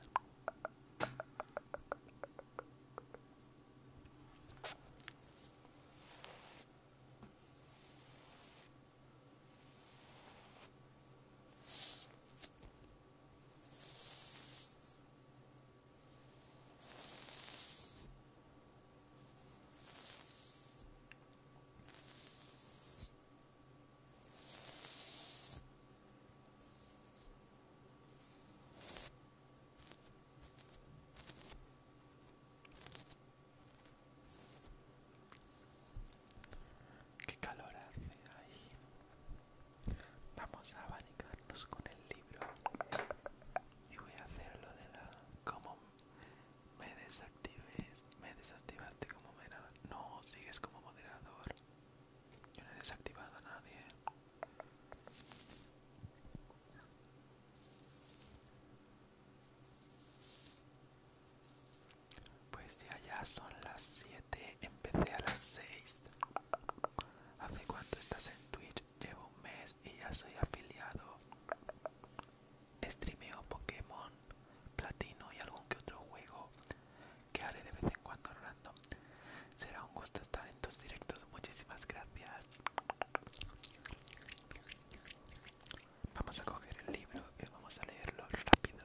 Qué calor hace ahí. Vamos a abanicarnos con el libro. Y voy a hacerlo de la... Como me desactives... Me desactivaste como moderador. No, sigues como moderador. Yo no he desactivado a nadie. Pues ya, ya son las 7, empecé a las 6. ¿Hace cuánto estás en Twitch? Llevo un mes y ya soy afiliado. Streameo Pokémon, Platino y algún que otro juego que haré de vez en cuando random. Será un gusto estar en tus directos. Muchísimas gracias. Vamos a coger el libro y vamos a leerlo rápido.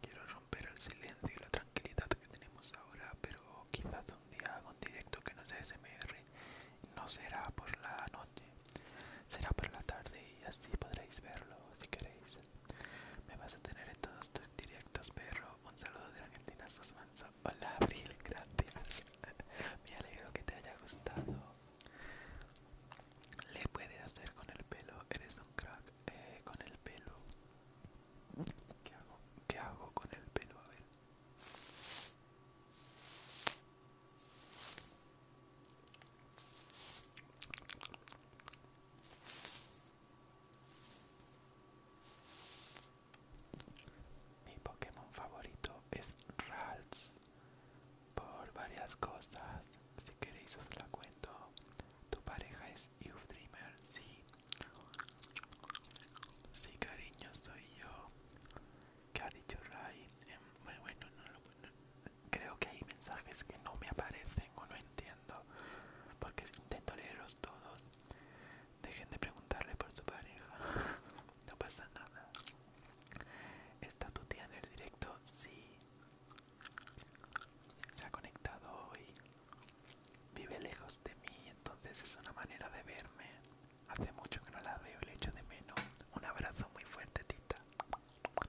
quiero romper el silencio y la tranquilidad que tenemos ahora, pero quizás un día haga un directo que no sea SMR. No será por la noche, será por la tarde y así podréis verlo si queréis. Me vas a tener en todos tus directos, perro. Un saludo de Argentina Sosmanzo. Hola, Abril, gracias. Me alegro que te haya gustado. Le puede hacer con el pelo, eres un crack eh, con el pelo. ¿Qué hago? ¿Qué hago con el pelo? A ver. Mi Pokémon favorito es Ralts por varias cosas. Si queréis os la cuento. Tu pareja es y Dreamer, sí. Sí, cariño, soy yo. ¿Qué ha dicho Ray? Em, bueno, no lo Creo que hay mensajes que no me aparecen o no entiendo. Porque intento leerlos todos. Dejen de preguntarle por su pareja. No pasa nada. ¿Está tu tía en el directo? Sí se ha conectado hoy, vive lejos de mí, entonces es una manera de verme. Hace mucho que no la veo le echo de menos. Un abrazo muy fuerte, tita.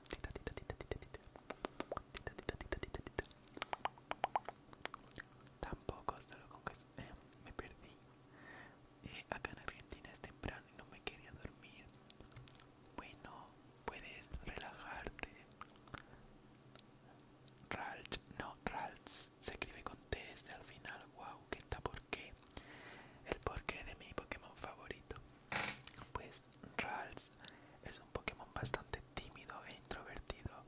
Tita, tita, tita, tita, tita. Tita, tita, tita, tita, Tampoco, solo con que eh, me perdí. Eh, acá en Argentina es temprano y no me quería dormir. Bueno, puedes relajarte. Ralph. no, Ralph se escribe con T desde al final. Wow, que está por qué. El porqué de mi Pokémon favorito. Pues Ralph es un Pokémon bastante tímido e introvertido,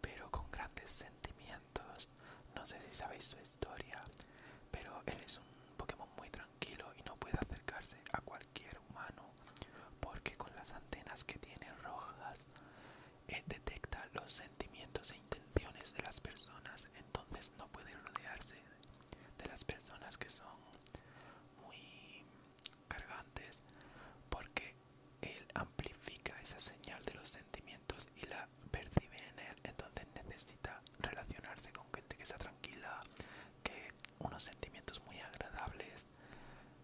pero con grandes sentimientos. No sé si sabéis su historia, pero él es un Pokémon muy tranquilo y no puede acercarse a cualquiera, humano porque con las antenas que tiene rojas eh, detecta los sentimientos e intenciones de las personas entonces no puede rodearse de las personas que son muy cargantes porque él amplifica esa señal de los sentimientos y la percibe en él entonces necesita relacionarse con gente que está tranquila que unos sentimientos muy agradables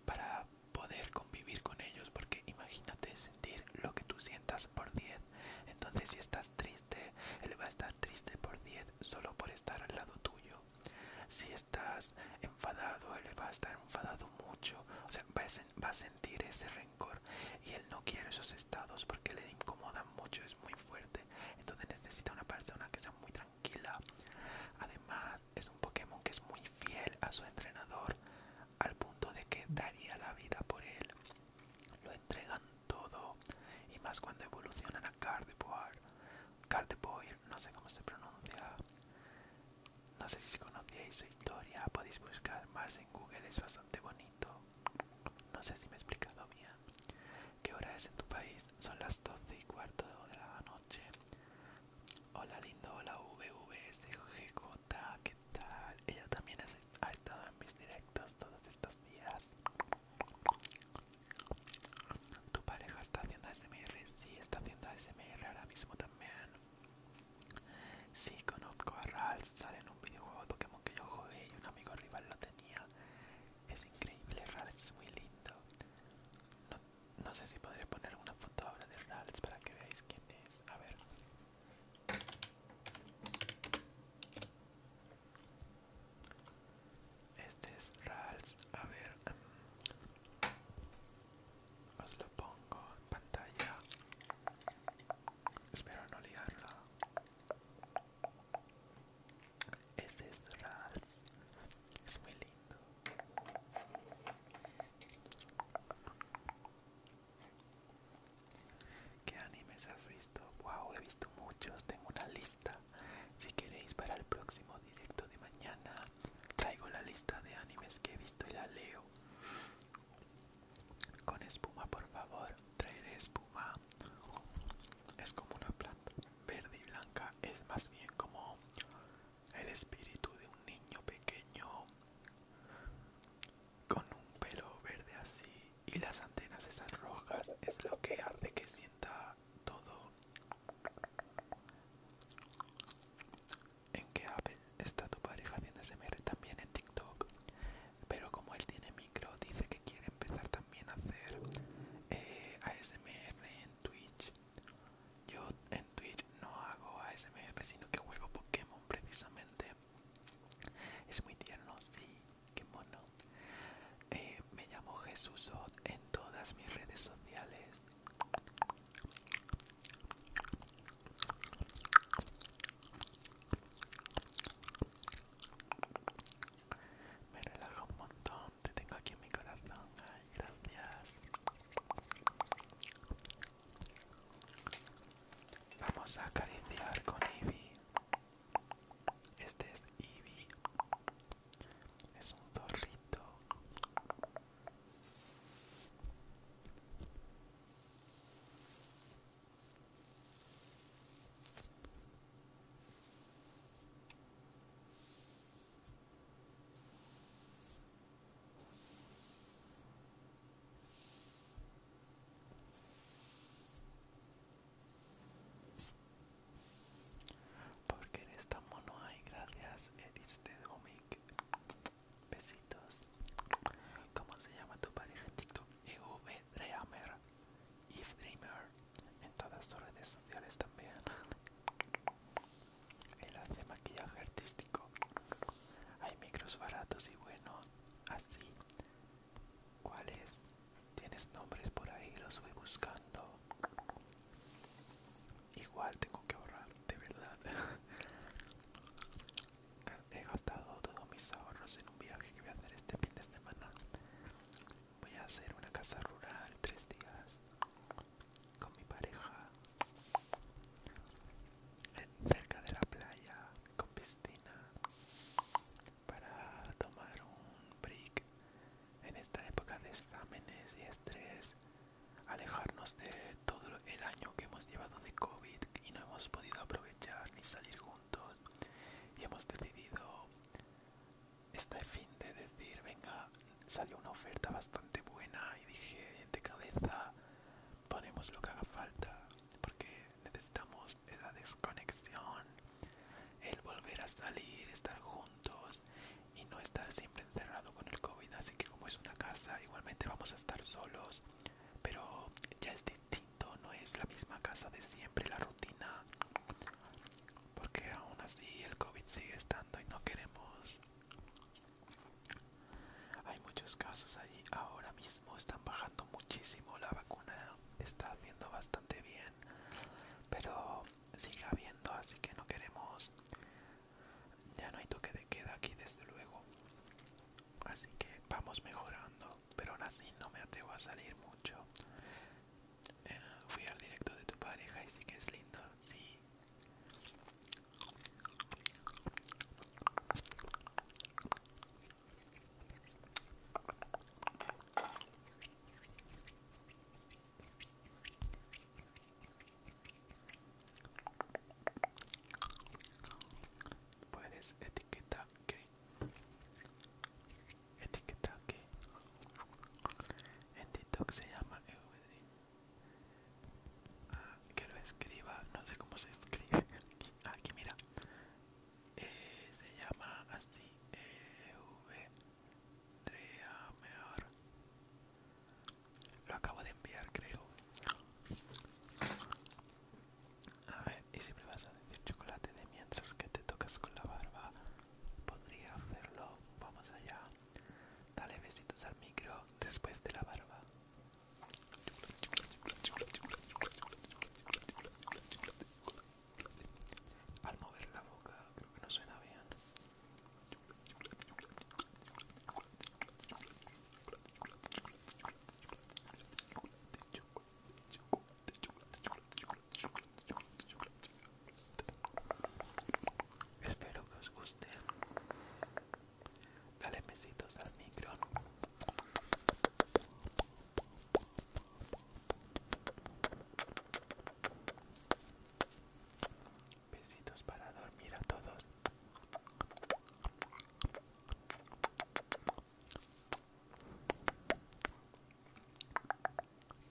para poder convivir con ellos porque imagínate sentir lo que tú sientas por 10 entonces si estás triste él va a estar triste por 10 solo por estar al lado tuyo si estás enfadado él va a estar enfadado mucho o sea va a, sentir ese rencor y él no quiere esos estados porque le incomodan mucho es muy fuerte entonces necesita una persona que sea muy tranquila. Además, es un Pokémon que es muy fiel a su entrenador, al punto de que daría la vida por él. Lo entregan todo, y más cuando evolucionan a Gardevoir. Gardevoir, no sé cómo se pronuncia. No sé si conocíais su historia, podéis buscar más en Google, es bastante bonito. No sé si me he explicado bien. ¿Qué hora es en tu país? Son las 12 y cuarto de la noche. Hola lindo, hola VVSGJ, ¿qué tal? Ella también ha estado en mis directos todos estos días. Tu pareja está haciendo SMR, sí, está haciendo SMR ahora mismo también. Sí, conozco a Rals, sale en un videojuego Pokémon que yo jugué y un amigo rival lo tenía. Es increíble, Rals, es muy lindo. No sé si podré poner una foto ahora de Rals para que veáis quién es. A ver. Este es Rals A ver. Em, os lo pongo en pantalla. Espero no liarlo Este es Rals Es muy lindo. ¿Qué animes has visto? Wow, he visto muchos, tengo una lista. Si queréis para el próximo directo de mañana, traigo la lista de animes que he visto y la leo. Con espuma, por favor, traeré espuma. Es como una planta verde y blanca, es más bien como el espíritu de un niño pequeño con un pelo verde así y las antenas esas rojas es lo que hace que sienta todo en qué app está tu pareja haciendo SMR también en TikTok pero como él tiene micro dice que quiere empezar también a hacer eh, ASMR en Twitch yo en Twitch no hago ASMR, sino que juego Pokémon precisamente. Es muy tierno, sí, qué mono. Eh, me llamo Jesús en todas mis redes sociales. Me relaja un montón, te tengo aquí en mi corazón gracias. Vamos a acariciar con Eevee. Este es Eevee. Es un zorrito. Porque en esta mono, hay gracias, Edith de Besitos. ¿Cómo se llama tu pareja EV e Dreamer. If Dreamer. En todas tus redes sociales también. Él hace maquillaje artístico. Hay micros baratos y buenos. Así. ¿Cuáles? ¿Tienes nombres por ahí? Los voy buscando. Igual tengo que ahorrar, de verdad. He gastado todos mis ahorros en un viaje que voy a hacer este fin de semana. Voy a hacer una casa rural tres días con mi pareja eh, cerca de la playa con piscina para tomar un break en esta época de exámenes y estrés alejarnos de todo el año que hemos llevado de COVID y no hemos podido aprovechar ni salir juntos y hemos decidido este fin de decir venga salió una oferta bastante buena y dije de cabeza ponemos lo que haga falta porque necesitamos esa desconexión el volver a salir estar juntos y no estar siempre encerrado con el covid así que como es una casa igualmente vamos a estar solos pero ya es distinto no es la misma casa de siempre la rutina porque aún así el covid sigue estando y no queremos hay muchos casos allí. Ahora mismo están bajando muchísimo. La vacuna está haciendo bastante bien. Pero sigue habiendo, así que no queremos... Ya no hay toque de queda aquí, desde luego. Así que vamos mejorando. Pero aún así no me atrevo a salir mucho. Eh, fui al directo de tu pareja y sí que es lindo. Sí. Puedes etiquetar que etiqueta que en TikTok se llama el Ah, que lo escriba, no sé cómo se escribe aquí, mira, eh, se llama así, e mejor lo acabo de enviar creo. A ver, y si me vas a decir chocolate de mientras que te tocas con la barba, podría hacerlo. Vamos allá. Dale besitos al micro después de la barba. Al mover la boca creo que no suena bien. Espero que os guste Dale besitos al micro. Besitos para dormir a todos.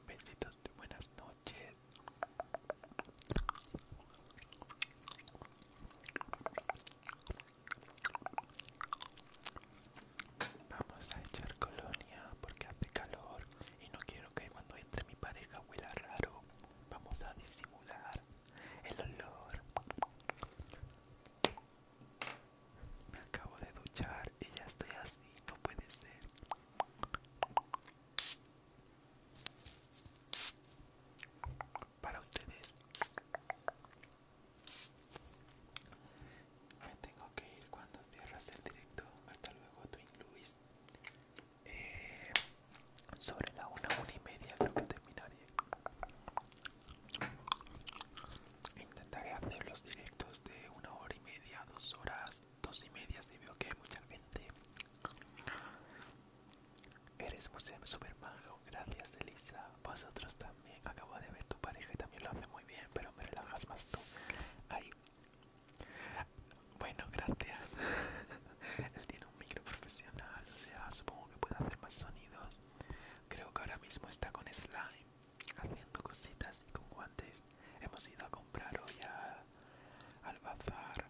Besitos de buenas noches. Vamos a echar colonia porque hace calor y no quiero que cuando entre mi pareja huela raro. Vamos a disimular el olor. Me acabo de duchar y ya estoy así, no puede ser para ustedes. Me tengo que ir cuando cierras el directo. Hasta luego, Twin Luis. Eh, sobre la una, una y media creo que terminaré. Intentaré hacer los directos de una hora y media, dos horas, dos y media si veo que hay mucha gente. Eres super manjo gracias Elisa. Vosotros también. Acabo de ver tu pareja y también lo hace muy bien, pero me relajas más tú. Ahí. Bueno, gracias. Él tiene un micro profesional, o sea, supongo que puede hacer más sonidos. Creo que ahora mismo está con slime, haciendo cositas y con guantes. Hemos ido a comprar hoy al bazar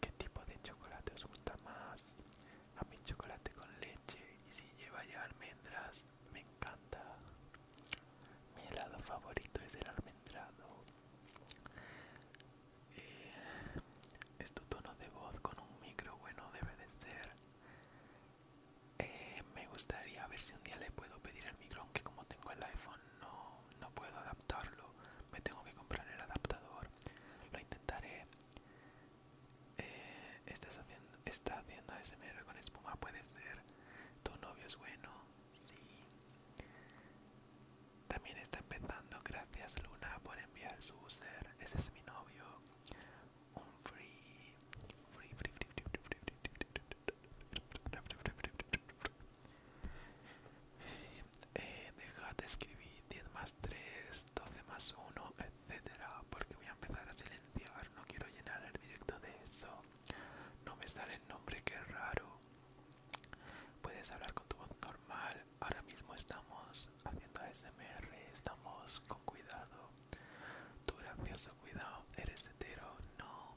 qué tipo de chocolate os gusta más. A mí chocolate con leche y si lleva ya almendras me encanta. Mi helado favorito es el almendrado. Eh, es tu tono de voz con un micro bueno debe de ser. Eh, me gustaría ver si un día le puedo pedir el micro, aunque como tengo el iPhone no, no puedo adaptarlo, me tengo que comprar el adaptador, lo intentaré. ¿Estás haciendo, está haciendo ASMR con espuma? Puede ser. ¿Tu novio es bueno? Sí. También está empezando. Gracias Luna por enviar su user. Ese es mi novio. Un free eh, de escribir 10 más 3, 12 más 1, etcétera Porque voy a empezar a silenciar, no quiero llenar el directo de eso No me sale el nombre, qué raro Puedes hablar con tu voz normal Ahora mismo estamos haciendo ASMR, estamos con cuidado Tú gracioso, cuidado, eres hetero, no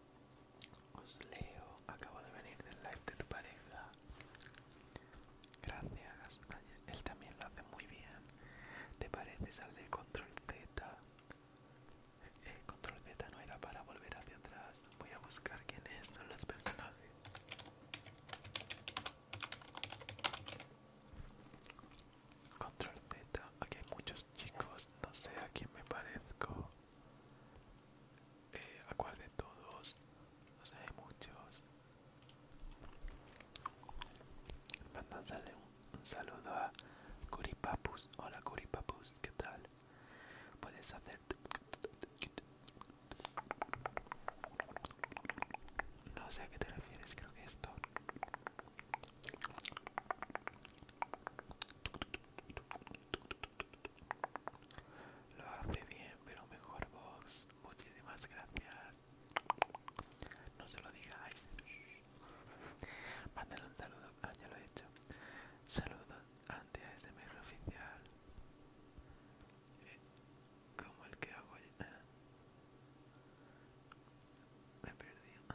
Os leo, acabo de venir del live de tu pareja. Gracias, él también lo hace muy bien. ¿Te pareces al del control Z? El control Z no era para volver hacia atrás. Voy a buscar quiénes son los personajes. Control Z, aquí hay muchos chicos, no sé a quién me parezco eh, de todos No sé, hay muchos a un, un saludo a Curipapus hola Curipapus qué tal puedes hacer no sé a qué te refieres creo que esto lo hace bien, pero mejor Vox. Muchísimas gracias. No se lo digáis. Mándale un saludo. Ah, ya lo he hecho. Saludos ante ASMR oficial. Eh, como el que hago ah. Me perdí. Ah.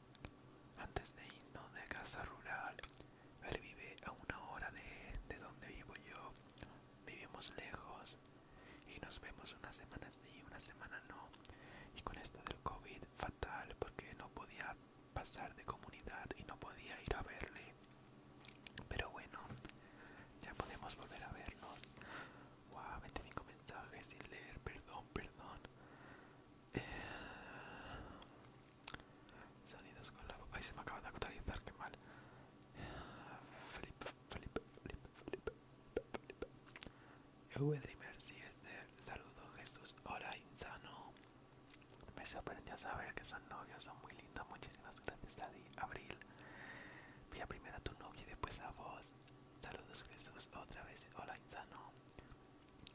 antes de irnos de casa rural, él vive a una hora de, donde vivo yo. Vivimos lejos y nos vemos unas semanas sí, una semana no. Y con esto del COVID, fatal, porque no podía pasar de comunidad y no podía ir a verle. Pero bueno, ya podemos volver a vernos. Wow, 25 mensajes sin leer, perdón, perdón. sonidos con la voz, Ay, se me acaba de actualizar, qué mal. Flip, flip, flip, flip, flip. flip saludo, Jesús. Hola, insano. Me sorprendió saber que son novios, son muy lindos. Muchísimas gracias, Adi. Abril. Fui a primero a tu novia y después a vos. Saludos Jesús, otra vez. Hola Insano.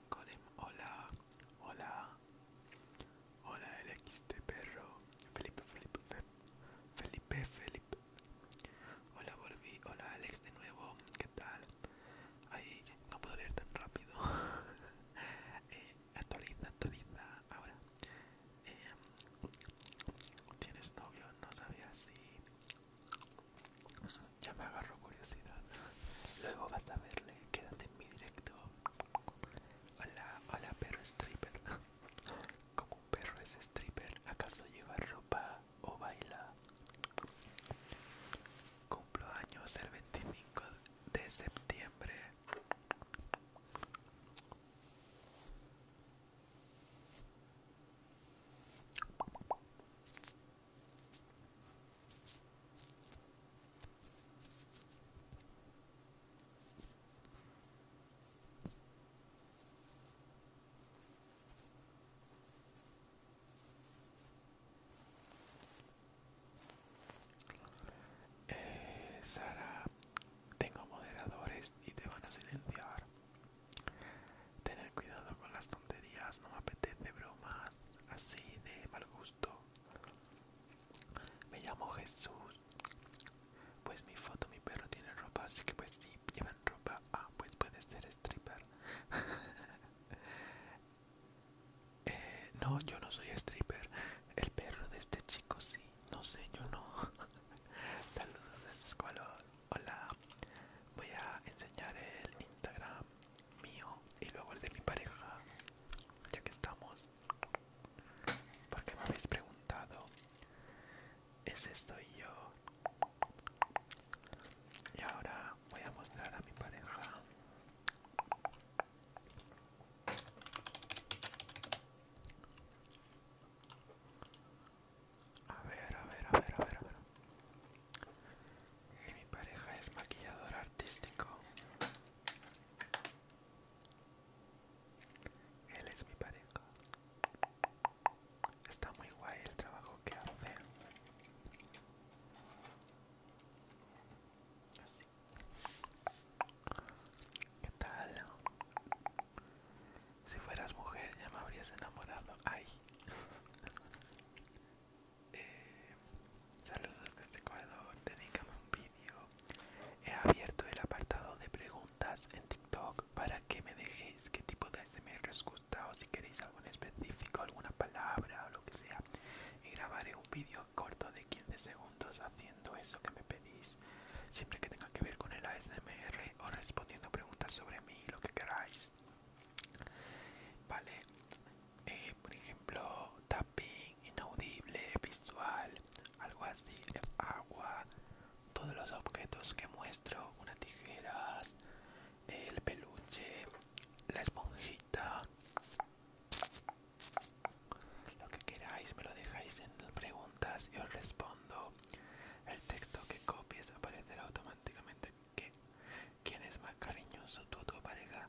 Codem, hola. Hola. Hola de perro. Felipe, Felipe, Felipe, Felipe. Hola volví. Hola Alex de nuevo. ¿Qué tal? Ay, no puedo leer tan rápido. Eh, actualiza, actualiza. Ahora. Eh, ¿Tienes novio? No sabía si... Ya me agarro curiosidad. Luego vas a verle, quédate en mi directo. Hola, hola perro stripper. Como un perro es stripper, ¿acaso lleva ropa o baila? Cumplo años el 25 de septiembre. Eh, Sara, tengo moderadores y te van a silenciar. Tener cuidado con las tonterías, no me apetece bromas así de mal gusto. Me llamo Jesús. Pues mi foto, mi perro tiene ropa, así que pues sí, llevan ropa. Ah, pues puede ser stripper. Eh, no, yo no soy stripper. El perro de este chico sí. No sé, yo no. Saludos de Squalor. Hola, voy a enseñar el Instagram mío y luego el de mi pareja, ya que estamos. Porque me habéis preguntado, ese soy yo. Y ahora voy a mostrar a mi pareja. A ver, a ver, a ver, a ver, Y mi pareja es maquillador artístico. Él es mi pareja. Está muy guay el trabajo que hace. Así. ¿Qué tal? Si fueras mujer ya me habrías enamorado. Ay. Eh, saludos desde Ecuador, dedícame un vídeo. He abierto el apartado de preguntas en TikTok para que me dejéis qué tipo de ASMR os gusta o si queréis algo en específico, alguna palabra o lo que sea. Y grabaré un vídeo corto de 15 segundos haciendo eso que me pedís, siempre que tenga que ver con el ASMR o respondiendo preguntas sobre mí, lo que queráis. Vale, eh, por ejemplo, tapping, inaudible, visual, algo así, agua, todos los objetos que muestro, unas tijeras, el peluche, la esponjita, lo que queráis me lo dejáis en las preguntas y os respondo. El texto que copies aparecerá automáticamente que quien es más cariñoso, o tu pareja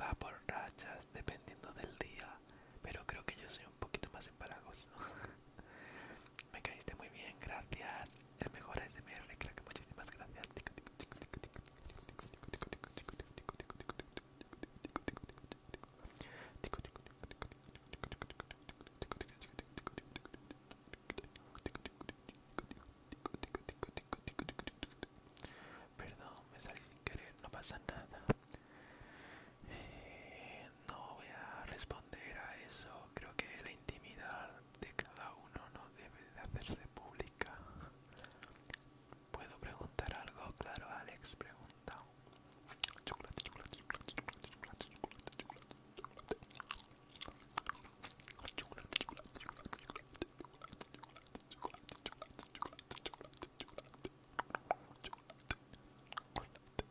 va por rachas dependiendo del día, pero creo que yo soy un poquito más empalagoso. Me caíste muy bien, gracias. El mejor es de creo muchísimas gracias. Perdón, me salí sin querer, no pasa nada. Eh, no voy a responder a eso. Creo que la intimidad de cada uno no debe de hacerse pública. ¿Puedo preguntar algo? Claro, Alex, pregunta. chocolate, chocolate, chocolate, chocolate, chocolate, chocolate. Chocolate, chocolate, chocolate, chocolate, chocolate, chocolate, chocolate, chocolate, chocolate,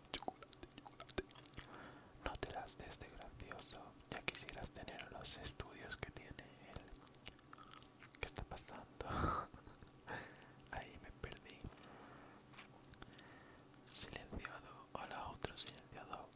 chocolate, chocolate, chocolate, chocolate. No te las des este gracioso, ya quisieras tener los estudios que tiene él. ¿Qué está pasando? Ahí me perdí. Silenciado, hola otro silenciado.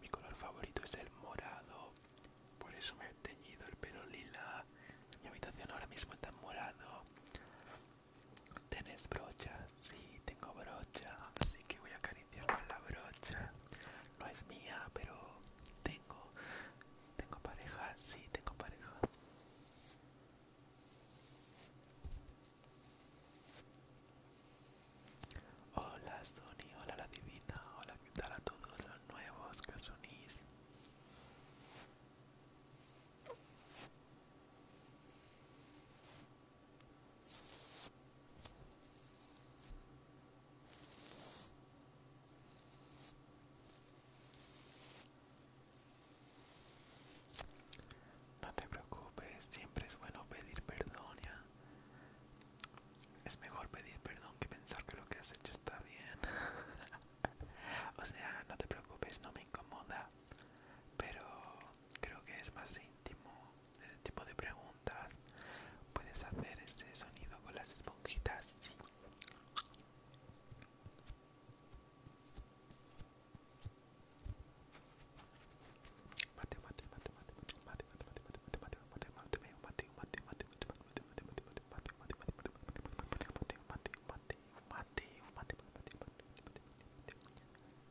mi color favorito es el morado, por eso me he teñido el pelo lila. Mi habitación ahora mismo está en morado. ¿Tenés brocha? Sí, tengo brocha, así que voy a acariciar con la brocha. No es mía, pero tengo. ¿Tengo pareja? Sí, tengo pareja. Hola Sony, hola la divina, hola que tal a todos los nuevos que os no te preocupes, siempre es bueno pedir perdón, ¿ya? Es mejor pedir perdón que pensar que lo que has hecho está bien. o sea, no te preocupes, no me incomoda. Pero creo que es más íntimo ese tipo de preguntas. Puedes hacer ese sonido con las esponjitas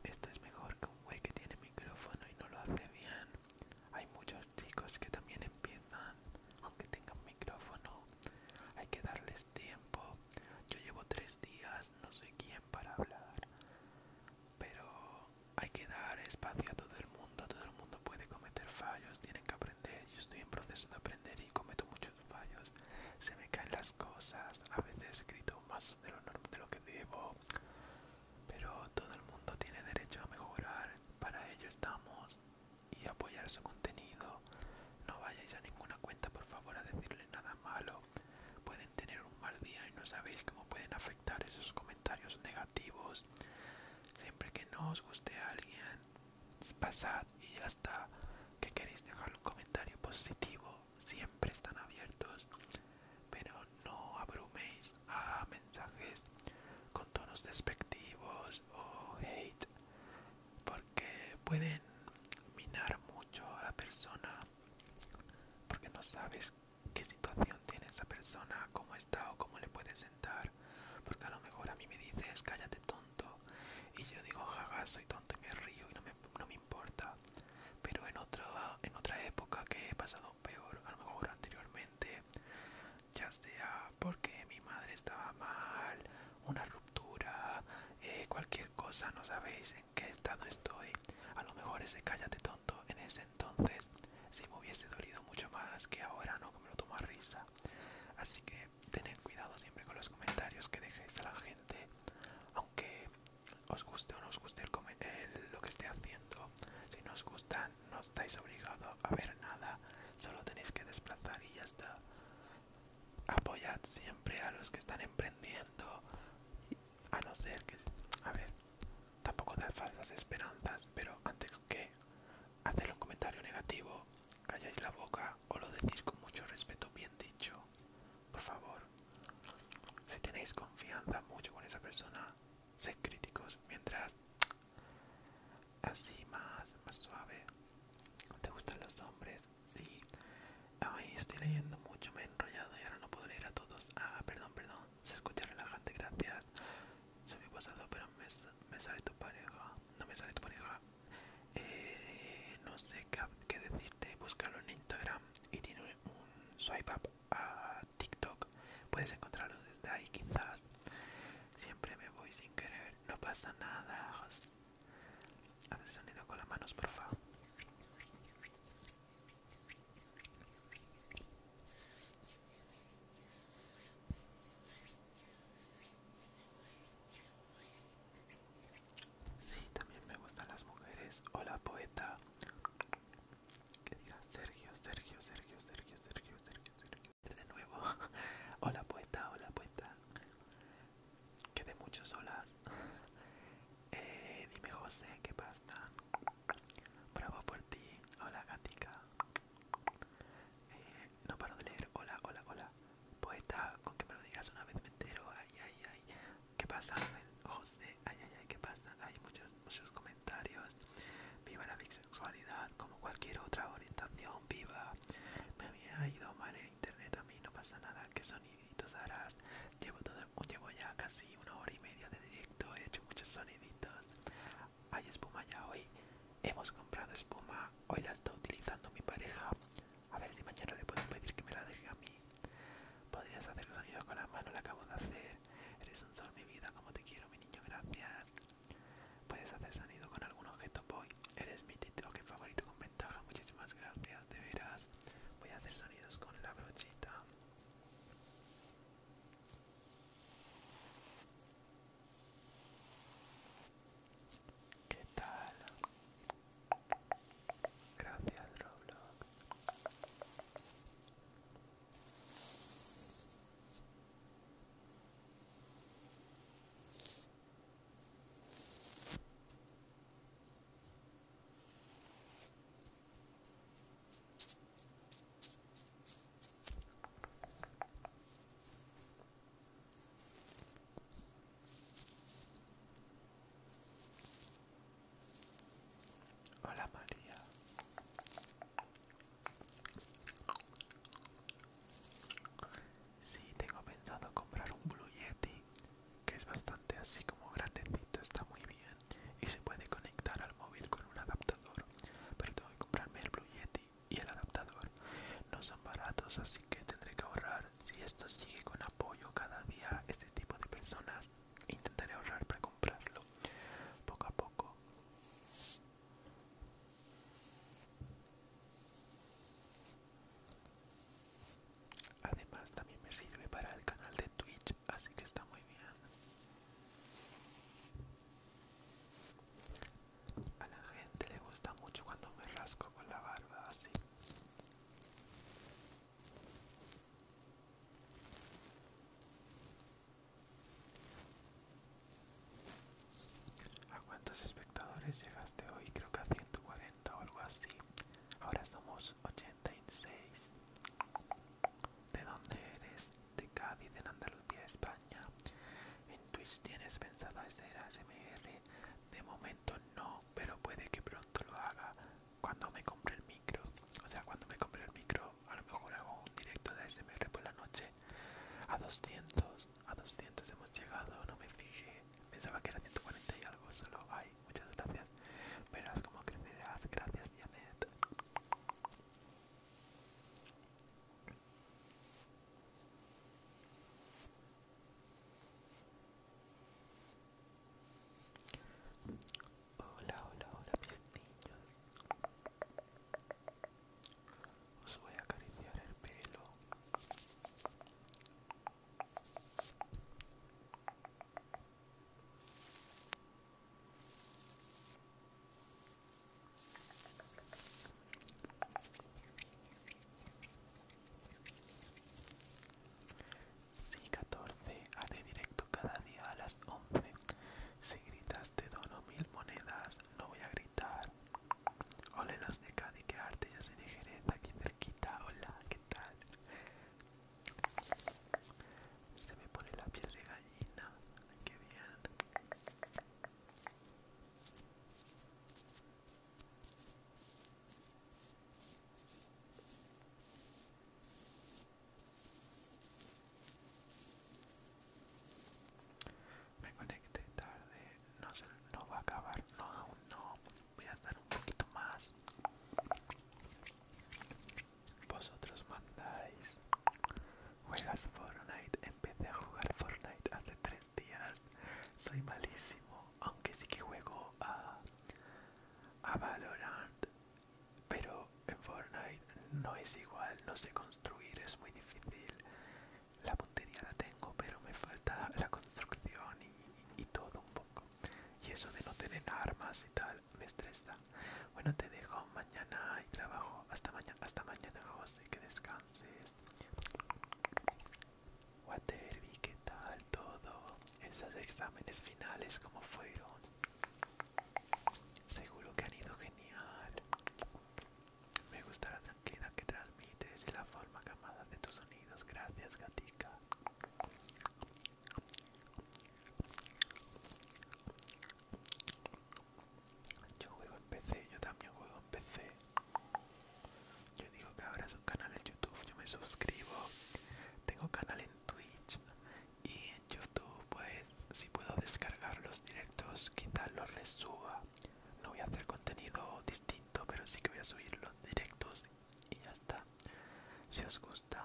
esto es mejor que un güey que tiene micrófono y no lo hace bien. Hay muchos chicos que también empiezan, aunque tengan micrófono. Hay que darles tiempo. Yo llevo tres días, no sé quién para hablar pero hay que dar espacio a todo el mundo, todo el mundo puede cometer fallos, tienen que aprender, yo estoy en proceso de aprender y cometo muchos fallos, se me caen las cosas, a veces he escrito más de lo, de lo que debo, pero todo el mundo tiene derecho a mejorar, para ello estamos y apoyar su contenido, no vayáis a ninguna cuenta por favor a decirle nada malo pueden tener un mal día y no sabéis cómo pueden afectar esos comentarios negativos. Siempre que no os guste a alguien, pasad y ya hasta que queréis dejar un comentario positivo, siempre están abiertos. Pero no abruméis a mensajes con tonos despectivos o hate, porque pueden minar mucho a la persona, porque no sabes qué situación tiene esa persona, cómo está o cómo le puede sentar, porque a lo mejor a mí me dices cállate tonto y yo digo ja soy tonto y me río y no me, importa, pero en otra, en otra época que he pasado peor, a lo mejor anteriormente, ya sea porque mi madre estaba mal, una ruptura, eh, cualquier cosa, no sabéis, en qué estado estoy. A lo mejor ese cállate tonto en ese entonces si me hubiese dolido mucho más que ahora, no que me lo toma risa. Así que tened cuidado siempre con los comentarios que dejéis a la gente, aunque os guste o no os guste lo que esté haciendo. Si no os gusta, no estáis obligados a ver nada, solo tenéis que desplazar y ya está. Apoyad siempre a los que están emprendiendo a no ser que, a ver, tampoco da falsas esperanzas, pero antes que hacer un comentario negativo, calláis la boca o lo decís con mucho respeto, bien dicho, por favor. Si tenéis confianza mucho con esa persona, sed críticos, mientras así más, más suave. ¿Te gustan los hombres? Sí. Ay, estoy leyendo mucho, me he enrollado y ahora no puedo leer a todos. Ah, perdón, perdón. Se escucha relajante, gracias. Soy muy pasado, pero me, sale tu pareja. No me sale tu pareja. Eh, no sé qué, decirte. Búscalo en Instagram y tiene un, swipe up a TikTok. Puedes encontrarlo desde ahí, quizás. Siempre me voy sin querer. No pasa nada. Haz sonido con las manos, favor Sí, también me gustan las mujeres. Hola poeta. Que diga Sergio, Sergio, Sergio, Sergio, Sergio, Sergio, Sergio. De nuevo. Hola poeta, hola poeta. Que de mucho solar. Eh, dime José, ¿qué pasa? Bravo por ti. Hola, gatica. Eh, no paro de leer. Hola, hola, hola. Poeta, con que me lo digas una vez me entero. Ay, ay, ay. ¿Qué pasa, José? Ay, ay, ay, ¿qué pasa? Hay muchos, muchos comentarios. Viva la bisexualidad, como cualquier otra orientación. Viva. Me había ido mal en internet a mí, no pasa nada. que soniditos harás? Llevo todo llevo ya casi una hora y media de directo, he hecho muchos soniditos. Hay espuma ya hoy, hemos comprado espuma, hoy la está utilizando mi pareja. A ver si mañana le puedo pedir que me la deje a mí. Podrías hacer sonidos con la mano, la acabo de hacer. Eres un sol, mi vida, como te quiero, mi niño, gracias. Puedes hacer sonido con algún objeto, boy. Eres mi tío que favorito con ventaja, muchísimas gracias, de veras. Voy a hacer sonidos con la brochita. ¿Qué tal? Gracias, Roblox. Hola María. Sí, tengo pensado comprar un Blue Yeti, que es bastante así como grandecito, está muy bien y se puede conectar al móvil con un adaptador pero tengo que comprarme el Blue Yeti y el adaptador no son baratos así que tendré que ahorrar si esto sigue con apoyo cada día este tipo de personas intentaré ahorrar para comprarlo poco a poco Además también me sirve para el canal de Twitch, así que está muy bien. A la gente le gusta mucho cuando me rasco con la barba así. ¿A cuántos espectadores llegaste hoy? Creo que a 140 o algo así. Ahora somos 86. ¿De dónde eres? De Cádiz, en Andalucía, España. En Twitch tienes pensado hacer ASMR. De momento no, pero puede que pronto lo haga cuando me compre el micro. O sea, cuando me compre el micro, a lo mejor hago un directo de ASMR por la noche. A 200, a 200 hemos llegado, no me fijé. Pensaba que era 140 y algo, solo hay. Muchas gracias pero como que me dirás Gracias, Janet. Hola, hola, hola, mis niños. Os voy a acariciar el pelo. Si 14 haré directo cada día a las 11. Si gritas te dono mil monedas, no voy a gritar. Hola las de Cádiz, que arte, ya se de aquí cerquita. Hola, ¿qué tal? Se me pone la piel de gallina. que bien. Me conecté tarde, no, se, no va a acabar, no, aún no, voy a dar un poquito más. Vosotros mandáis. ¿Juegas Fortnite? Empecé a jugar Fortnite hace tres días. Soy malísimo, aunque sí que juego a, Valorant. Pero en Fortnite no es igual, no sé construir, es muy difícil. La puntería la tengo, pero me falta la construcción y todo un poco. Y eso de no tener armas y tal, me estresa. Bueno, te dejo. Mañana y trabajo. Hasta mañana, hasta mañana, José. Que descanses. Waterby, ¿qué tal todo? Esos exámenes finales, ¿cómo fueron? Seguro que han ido genial. Me gusta la tranquilidad que transmites y la forma camada de tus sonidos. Gracias, gatica. Yo juego en PC, yo también juego en PC. Yo digo que es un canal en YouTube, yo me suscribo. Tengo canal en Twitch y en YouTube, pues si puedo descargar los directos, quizás los suba No voy a hacer contenido distinto, pero sí que voy a subir los directos y ya está. Si os gusta,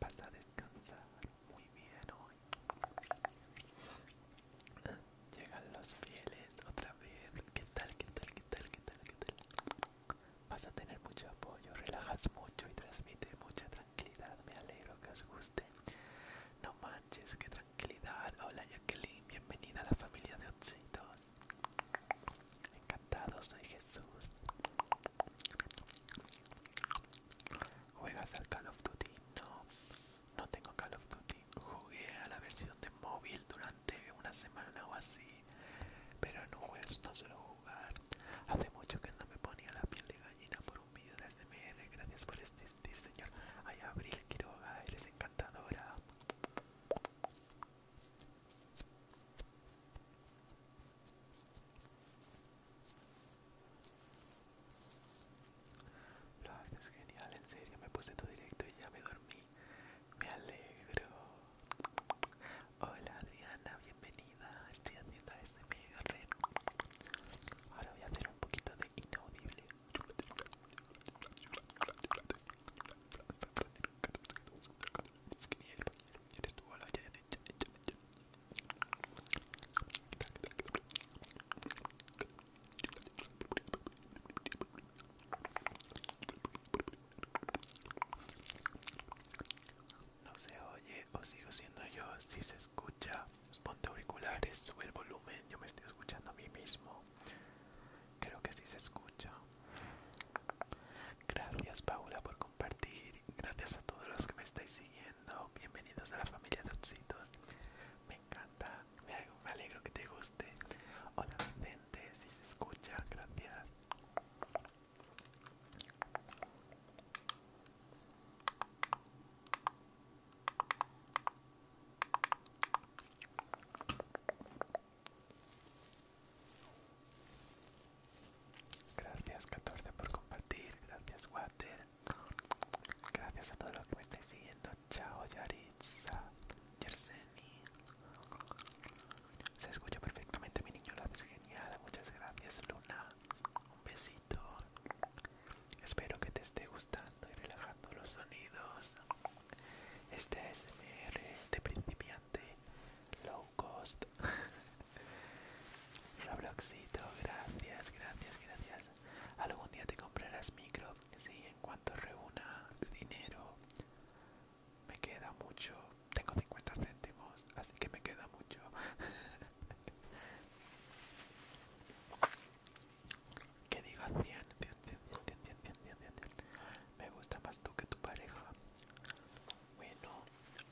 Vas a descansar muy bien hoy. Llegan los fieles otra vez. ¿Qué tal? ¿Qué tal? ¿Qué tal? ¿Qué tal? ¿Qué tal? Vas a tener mucho apoyo, relajas mucho y transmite mucha tranquilidad. Me alegro que os guste. No manches, qué tranquilidad. Hola Jacqueline, bienvenida a la familia de Otsitos. Encantado, soy Jesús. ¿Juegas al Call of Duty? No, no tengo Call of Duty. Jugué a la versión de móvil durante una semana o así, pero no no suelo jugar. Hace mucho que no me ponía la piel de gallina por un vídeo de SMR. Gracias por existir, señor. Ay, Abril Quiroga, eres encantadora. Lo haces genial, en serio, me puse todo directo y ya me dormí. Me alegro. Hola Adriana, bienvenida. Estoy haciendo este medio red. Ahora voy a hacer un poquito de inaudible. No se oye o sigo siendo yo, si se escucha, ponte auriculares, sube el volumen, yo me estoy escuchando a mí mismo. Creo que sí se escucha. Gracias Paula por compartir. Gracias a todos los que me estáis siguiendo. Bienvenidos a la familia de Me encanta. Me alegro que te guste. Hola docente. si se escucha. Gracias. Gracias 14 por compartir, gracias Water, gracias a todos los que me estáis siguiendo, chao Yaritza, Yerseni, se escucha perfectamente mi niño, la genial, muchas gracias Luna, un besito, espero que te esté gustando y relajando los sonidos. Este SMR de principiante low cost. Robloxito, gracias, gracias, gracias. Algún día te comprarás micro. Sí, en cuanto reúna dinero. Me queda mucho. Tengo 50 céntimos, así que me queda mucho. ¿Qué digo? 100, 100, 100, 100, 100, 100, 100. Me gusta más tú que tu pareja. Bueno,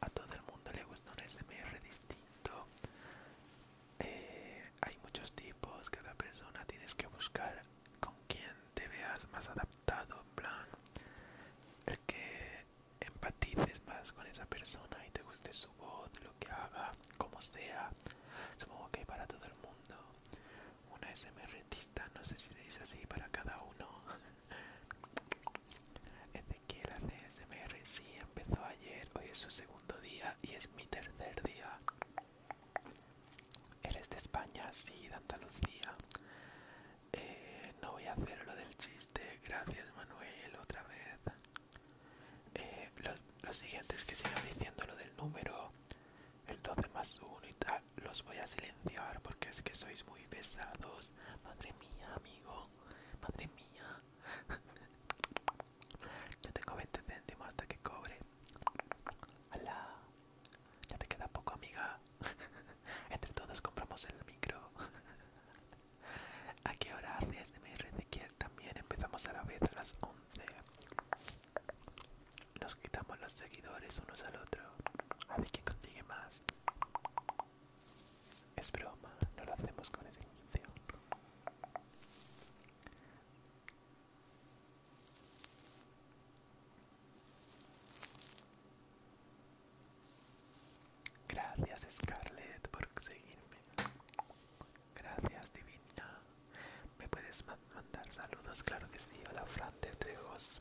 a todo el mundo le gusta un SMR distinto. Eh, hay muchos tipos, cada persona tienes que buscar con quien te veas más adaptado, en plan, el que empatices más con esa persona y te guste su voz, lo que haga, como sea. Supongo que para todo el mundo una SMRtista, no sé si le dice así para cada uno. Ezequiel hace SMR, sí, empezó ayer, hoy es su segundo día y es mi tercer día. Eres de España, sí, de Andalucía. Eh, no voy a hacer lo del chiste, gracias Manuel, otra vez. Eh, lo, siguiente es que sigan diciendo lo del número, el 12 más 1 y tal los voy a silenciar porque es que sois muy pesados. Madre mía, amigo. Madre mía. Yo tengo 20 céntimos hasta que cobre. Hola Ya te queda poco, amiga. Entre todos compramos el micro. ¿A qué hora haces de También empezamos a la vez a las 11. Nos quitamos los seguidores unos al otro. A que consigue más. Es broma, no lo hacemos con esa intención. Gracias Scarlett por seguirme. Gracias Divina. ¿Me puedes mandar saludos? Claro que sí. Hola Fran de Trejos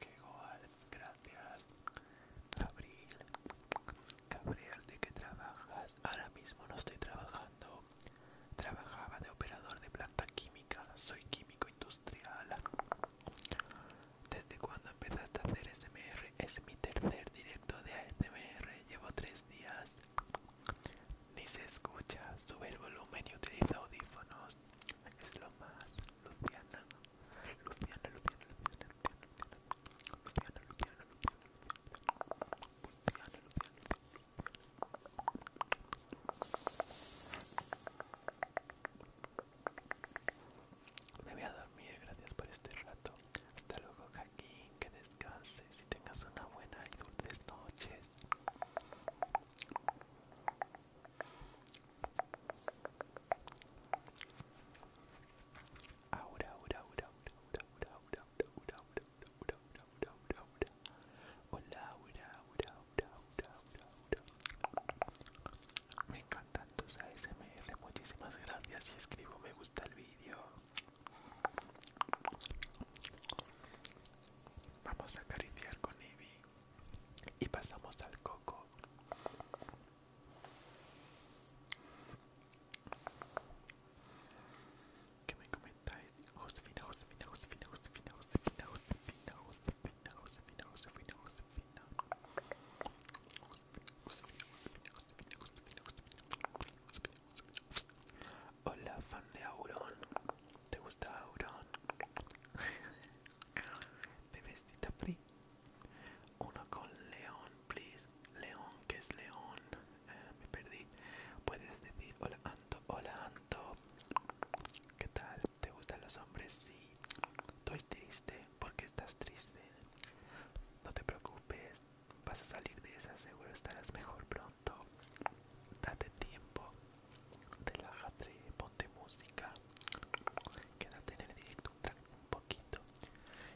que igual! gracias. Abril, Gabriel, ¿de qué trabajas? Ahora mismo no estoy trabajando. Trabajaba de operador de planta química, soy químico industrial. ¿Desde cuándo empezaste a hacer SMR? Es mi tercer directo de ASMR, llevo tres días. Ni se escucha, sube el volumen y utiliza audífonos. Es lo más. Luciana, Luciana, Luciana, Luciana, Luciana, Luciana, Luciana, Luciana, Me voy a dormir, gracias por este rato. Hasta luego, Jaquín, que descanses y tengas una buena y dulces noches. Hola, Me encantan tus ASMR, muchísimas gracias y escribo me gusta el vídeo. Vamos a acariciar con Ebi y pasamos al coco. ¿Qué me comentáis? Josefina, Hola, fan de Auron. ¿Te gusta Auron? uno con león please león que es león eh, me perdí puedes decir hola anto hola anto qué tal te gustan los hombres sí estoy triste ¿Por qué estás triste no te preocupes vas a salir de esa seguro estarás mejor pronto date tiempo relájate ponte música quédate en el directo un poquito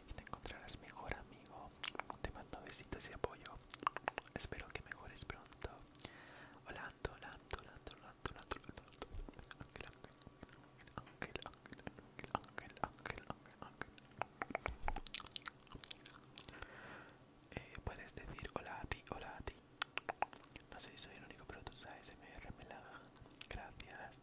y te encontrarás mejor amigo. Te mando besitos y apoyo. Espero que mejores pronto. Hola, Anto, hola, Puedes decir hola a ti, hola a ti. No sé si soy el único, pero tú sabes, me la Gracias.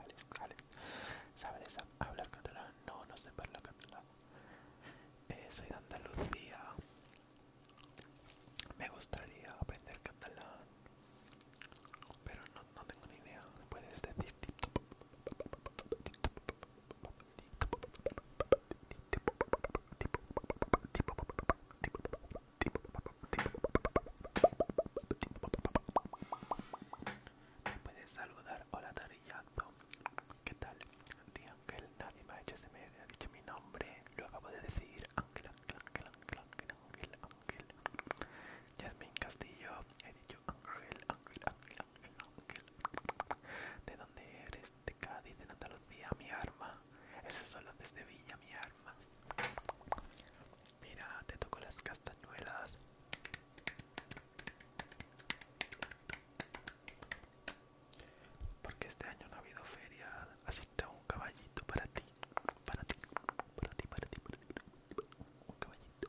Alex, ¿Sabes hablar catalán? No, no sé hablar catalán. soy de Andalucía. Me gustaría aprender catalán, pero no, no tengo ni idea. Puedes decir me puedes saludar. Hola Tarillazo, ¿qué tal? Di Ángel, nadie me ha hecho ese medio, ha dicho mi nombre, lo acabo de decir. Ángel, Ángel, Ángel, Ángel, Ángel, Ángel, Ángel. Yasmin Castillo, he dicho Ángel, Ángel, Ángel, Ángel, Ángel. ¿De dónde eres? De Cádiz, de Andalucía, mi arma. Eso solo de Villa, mi arma. Mira, te toco las castañuelas. Porque este año no ha habido feria, así que un caballito para ti, para ti, para ti, para ti, para ti. un caballito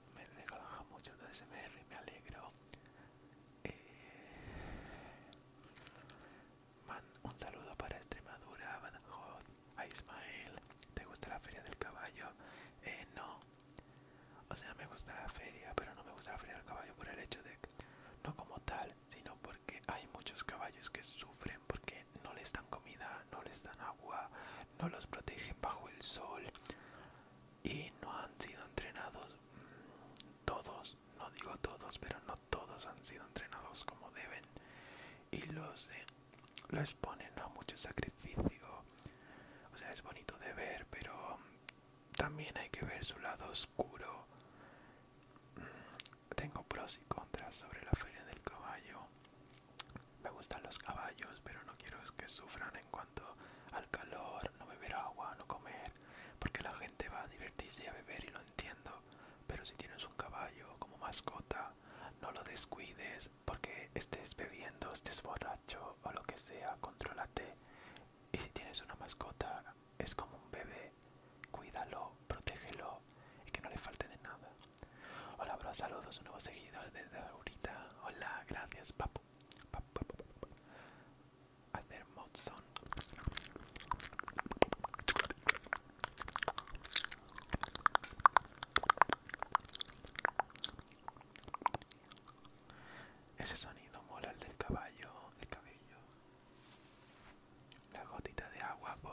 me relaja mucho ese SMR y me alegro. Eh, un saludo para Extremadura, Badajoz, a Ismael. ¿Te gusta la feria del caballo? Eh, no. O sea, me gusta la feria, pero no me gusta la feria del caballo por el hecho de no como tal, sino porque hay muchos caballos que sufren porque no les dan comida, no les dan agua, no los protegen bajo el sol y no han sido entrenados todos, no digo todos, pero no todos han sido entrenados como deben y los, exponen eh, a mucho sacrificio. O sea, es bonito de ver, pero también hay que ver su lado oscuro. Mm, tengo pros y contras sobre la feria del caballo. Me gustan los caballos, pero no quiero que sufran en cuanto al calor, no beber agua, no comer, porque la gente va a divertirse a beber y lo entiendo, pero si tienes un caballo como mascota, no lo descuides porque estés bebiendo, estés borracho o lo que sea, controlate Y si tienes una mascota, es como un bebé, cuídalo, protégelo y que no le falte de nada. Hola, bro, saludos, nuevos seguidores desde ahorita. Hola, gracias, papá hacer ese sonido mola el del caballo el cabello la gotita de agua voy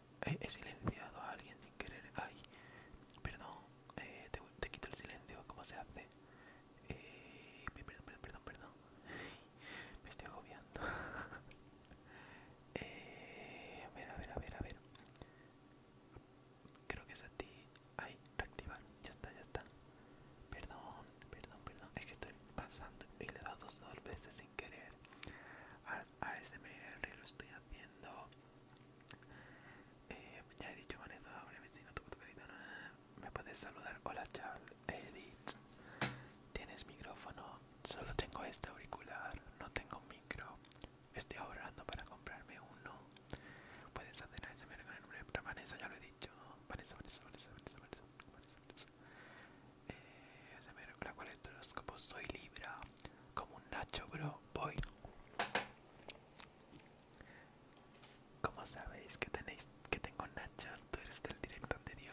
he silenciado a alguien sin querer. Ay, perdón, eh, te, quito el silencio, ¿cómo se hace? Eh, perdón, perdón, perdón, perdón. Me estoy agobiando. Eh, a ver, a ver, a ver, a ver. Creo que es a ti. Ay, reactivar. Ya está, ya está. Perdón, perdón, perdón. Es que estoy pasando y le he dado dos veces querer a este lo estoy haciendo eh, ya he dicho Vanessa, me puedes saludar, hola Charles, Edith ¿Tienes micrófono? Solo tengo este auricular, no tengo micro Estoy ahorrando para comprarme uno Puedes hacer SMR con el nombre Vanessa, ya lo he dicho Vanessa, Vanessa, Vanessa, Vanessa, Vanessa, eh, este para soy Libra, como un Nacho bro, voy. Como sabéis que tenéis que tengo Nachos, tú eres del directo anterior.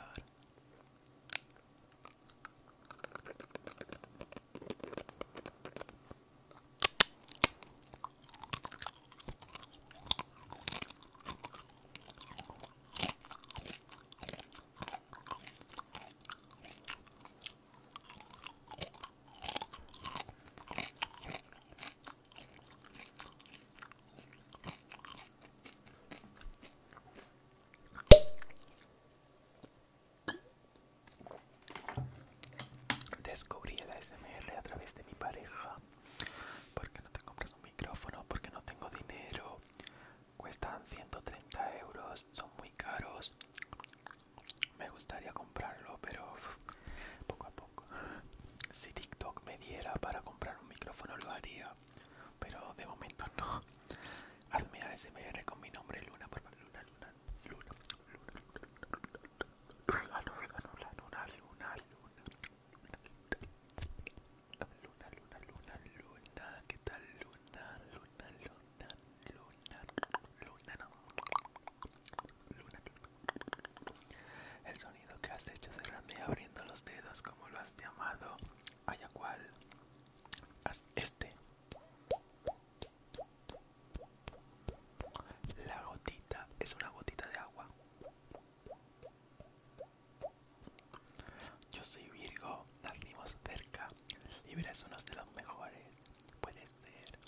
Descubrí el ASMR a través de mi pareja. ¿Por qué no te compras un micrófono, porque no tengo dinero, cuestan 130 euros son muy caros me gustaría comprarlo pero poco a poco si tiktok me diera para comprar un micrófono lo haría pero de momento no hazme asmr con mi nombre luna por favor luna luna luna luna luna luna luna luna luna luna luna luna luna qué tal luna luna luna Luna, Luna, no. Luna, El sonido que has hecho cerrando y abriendo los dedos, como lo has llamado, haya cual. este. La gotita es una gotita de agua. Yo soy Virgo, nacimos cerca. Libra es uno de los mejores, puede ser.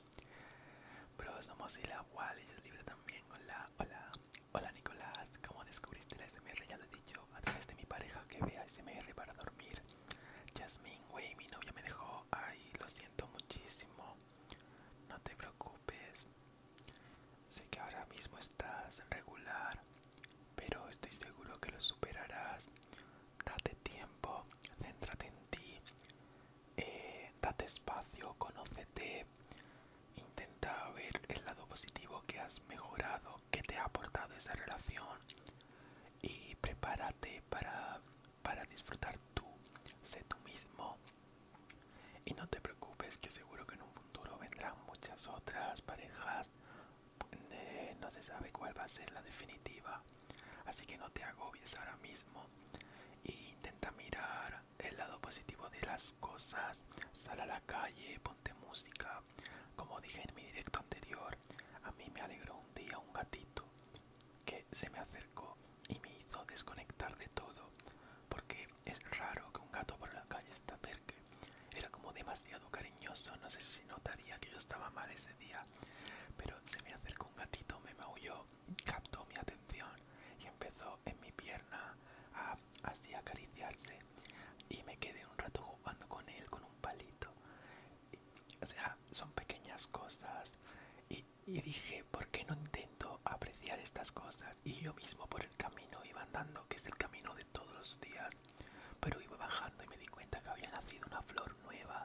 Pero somos y la Wallis Libra también. Hola, hola, hola Nicolás. ¿Cómo descubriste la SMR? Ya lo he dicho, a través de mi pareja que vea SMR para dormir. Jasmine, güey, mi novia me dejó. Ay, lo siento muchísimo. No te preocupes. Sé que ahora mismo estás regular, pero estoy seguro que lo superarás date tiempo, céntrate en ti, eh, date espacio, conócete, intenta ver el lado positivo que has mejorado, que te ha aportado esa relación y prepárate para, para disfrutar tú, sé tú mismo y no te preocupes que seguro que en un futuro vendrán muchas otras parejas eh, no se sabe cuál va a ser la definitiva así que no te agobies ahora mismo e intenta mirar el lado positivo de las cosas sal a la calle ponte música como dije en mi directo anterior a mí me alegró un día un gatito que se me acercó y me hizo desconectar de todo porque es raro que un gato por la calle se cerca acerque era como demasiado cariñoso no sé si notaría que yo estaba mal ese día, pero se me acercó un gatito, me maulló, captó mi atención y empezó en mi pierna a así acariciarse y me quedé un rato jugando con él con un palito. o sea, son pequeñas cosas y dije, ¿por qué no intento apreciar estas cosas? Y yo mismo por el camino iba andando, que es el camino de todos los días, pero iba bajando y me di cuenta que había nacido una flor nueva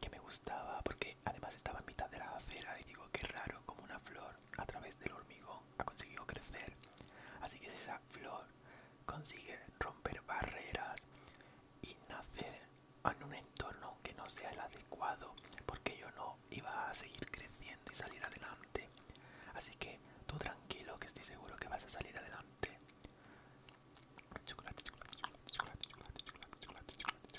que me gustaba porque además estaba en mitad de la acera y digo que raro como una flor a través del hormigón ha conseguido crecer así que esa flor consigue romper barreras y nacer en un entorno que no sea el adecuado porque yo no iba a seguir creciendo y salir adelante así que tú tranquilo que estoy seguro que vas a salir adelante Chocolate, chocolate, chocolate, chocolate, chocolate, chocolate,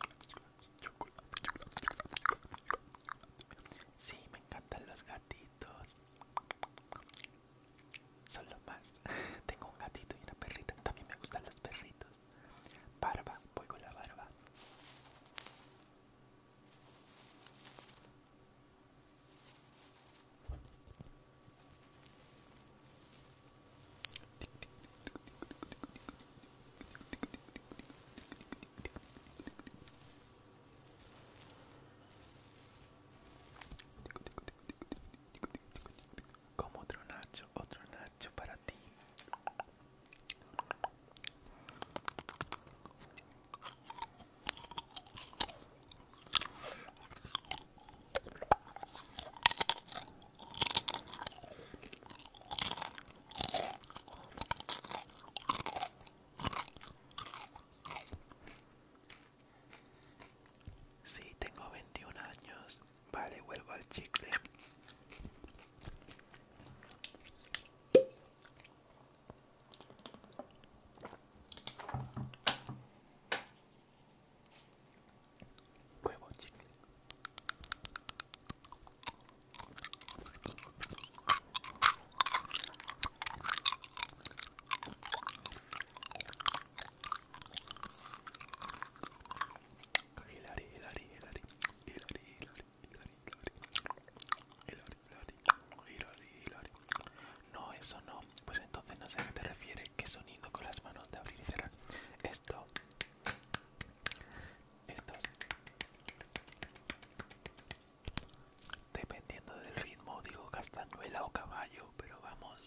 chocolate, chocolate, chocolate, Sí, me encantan los gatitos. Solo más. Tengo un gatito y una perrita. También me gustan los perritos. Barba, voy con la barba. Como otro Nacho, otro Nacho para ti. Sí, tengo 21 años. Vale, vuelvo al chicle. Huevo no, eso no, pues pues entonces no sé a qué te refieres, qué sonido con las manos de abrir y cerrar. Esto, esto, dependiendo del ritmo, digo castañuela o caballo, pero vamos.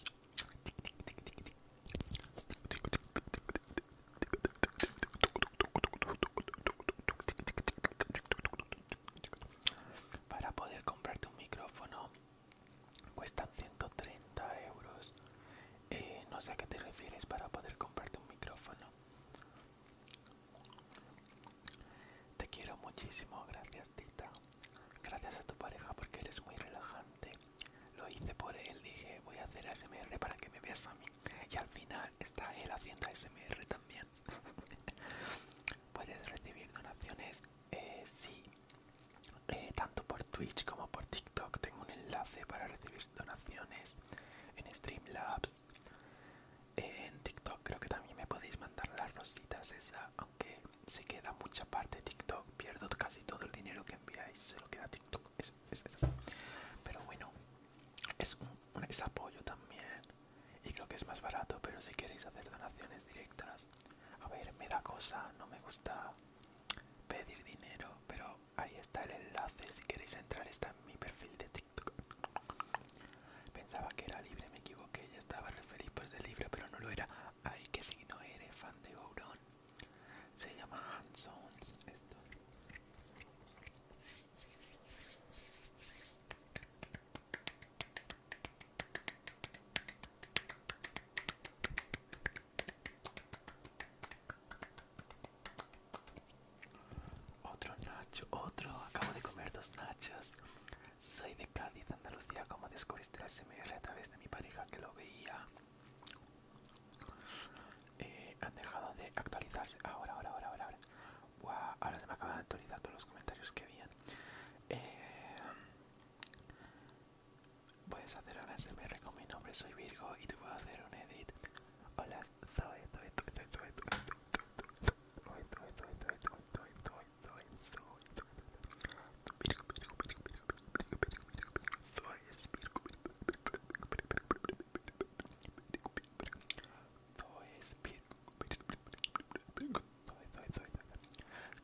Para poder comprarte un micrófono cuestan 130 euros eh, no sé a qué te refieres para poder comprarte un micrófono te quiero muchísimo gracias tita gracias a tu pareja porque eres muy relajante lo hice por él dije voy a hacer ASMR para que me veas a mí y al final está él haciendo ASMR también puedes recibir donaciones eh, sí eh, tanto por Twitch como por TikTok tengo un enlace para recibir donaciones en Streamlabs. Eh, en TikTok creo que también me podéis mandar las rositas esa, aunque se queda mucha parte TikTok, pierdo casi todo el dinero que enviáis, se lo queda TikTok, es, Pero bueno, es es apoyo también y creo que es más barato, pero si queréis hacer donaciones directas, a ver, me da cosa, no me gusta pedir dinero, pero ahí está el enlace si queréis entrar, está en mi perfil de TikTok. Pensaba que era libre, me equivoqué, ya estaba referido feliz por ese libro, pero no lo era. Ay, que si no eres fan de Gourón. Se llama Hansons esto. Otro nacho, otro. Acabo de comer dos nachos. Soy de Cádiz, Andalucía. Como descubriste la SMR a través de mi pareja que lo veía. Eh, han dejado de actualizarse. Ahora, ahora, ahora, ahora. ahora. ahora se me acaban de actualizar todos los comentarios que habían. Eh, Puedes hacer una SMR con mi nombre, soy Virgo y te puedo hacer un edit. Hola, soy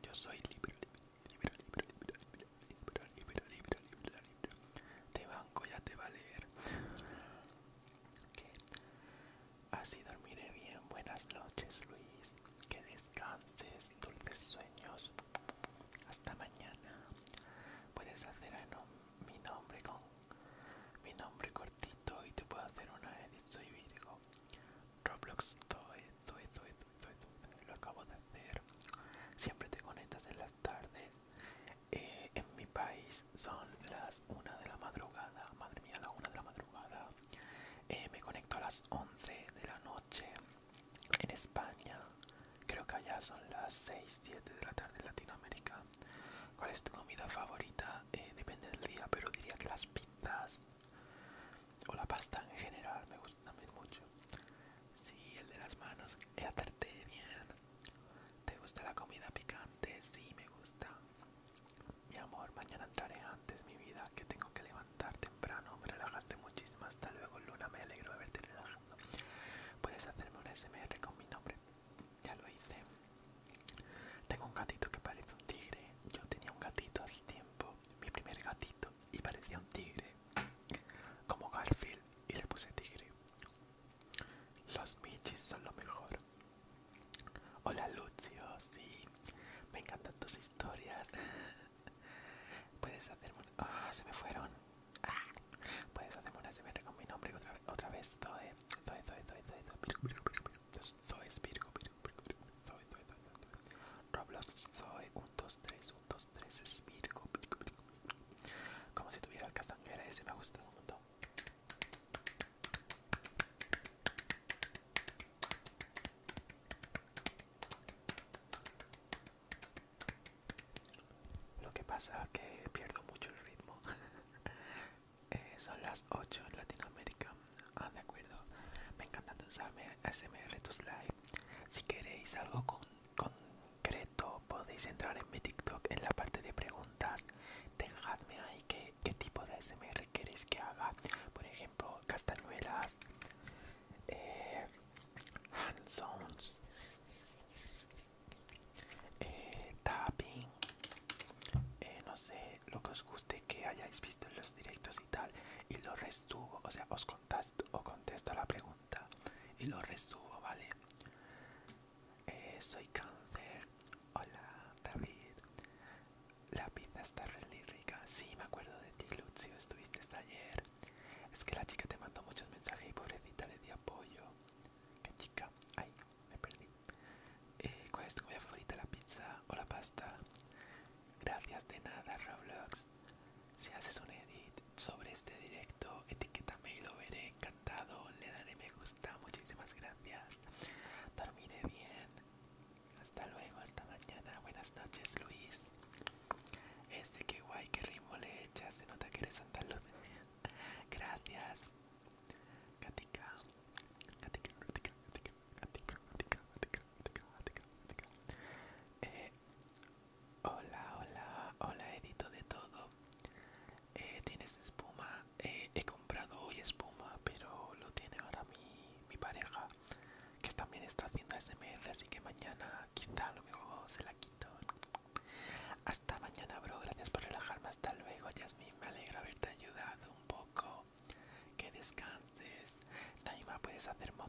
yo soy libre, libra, libra, libra, libra, libra, libra, libra, libra. Te banco, ya te va a leer. Así dormiré bien. Buenas noches, Luis. Que descanses, dulces sueños. Hasta mañana. Puedes hacer mi nombre con mi nombre cortito y te puedo hacer una edit. Soy Virgo. Roblox Toys lo acabo de hacer. Siempre te conectas en las tardes. Eh, en mi país son las 1 de la madrugada. Madre mía, las 1 de la madrugada. Eh, me conecto a las 11 de la noche. En España, creo que allá son las 6, 7 de la tarde en Latinoamérica. ¿Cuál es tu comida favorita? Eh, depende del día, pero diría que las pizzas o la pasta en general me gustan también mucho. Sí, el de las manos. atarte bien. ¿Te gusta la comida picante? Sí, me gusta. Mi amor, mañana entraré antes, mi vida, que tengo que levantar temprano. relajarte muchísimo. Hasta luego, Luna. Me alegro de verte relajando. Puedes hacerme un SMR con mi nombre. Ya lo hice. Tengo un gatito que parece un tigre. Yo tenía un gatito hace tiempo. Mi primer gatito. Y parecía un tigre como Garfield, y le puse tigre. Los Michis son lo mejor. Hola Lucio, sí, me encantan tus historias. Puedes hacerme una... se me fueron. Puedes hacerme una con mi nombre otra vez, Roblox Zoe 123 123 es Como si tuviera el castanguera, ese me ha gustado un montón Lo que pasa es que pierdo mucho el ritmo eh, Son las 8 en Latinoamérica Ah, de acuerdo Me encanta tu SMR, tu slide Si queréis algo con concreto podéis entrar en mi TikTok en la parte de preguntas. Dejadme ahí qué, tipo de SMR queréis que haga. Por ejemplo, castañuelas, eh, hand eh, tapping, eh, no sé, lo que os guste que hayáis visto en los directos y tal. Y lo resubo, o sea, os contesto, o contesto la pregunta y lo resubo, ¿vale? Eh, soy cáncer. Hola, David. La pizza está re rica. Sí, me acuerdo de ti, Lucio. Estuviste ayer. Es que la chica te mandó muchos mensajes y pobrecita le di apoyo. ¿Qué chica? Ay, me perdí. Eh, ¿Cuál es tu comida favorita? ¿La pizza o la pasta? Gracias de nada, Roblox. Si haces un edit sobre este directo, Etiquetame y lo veré encantado. Le daré me gusta. Muchísimas gracias. Dormiré bien. Hasta luego, hasta mañana. Buenas noches, Luis. Este que guay, qué ritmo le echas. Se nota que eres Santa Gracias. Katika. Katika, Katika, Katika, Hola, hola, hola Edito de todo. Eh, ¿Tienes espuma? Eh, he comprado hoy espuma, pero lo tiene ahora mi, mi pareja, que también está haciendo SMR, así que mañana quizá lo mejor se la quito. Hasta mañana, bro. Gracias por relajarme. Hasta luego, Yasmin. Me alegra haberte ayudado un poco. Que descanses. Naima, ¿puedes hacer mod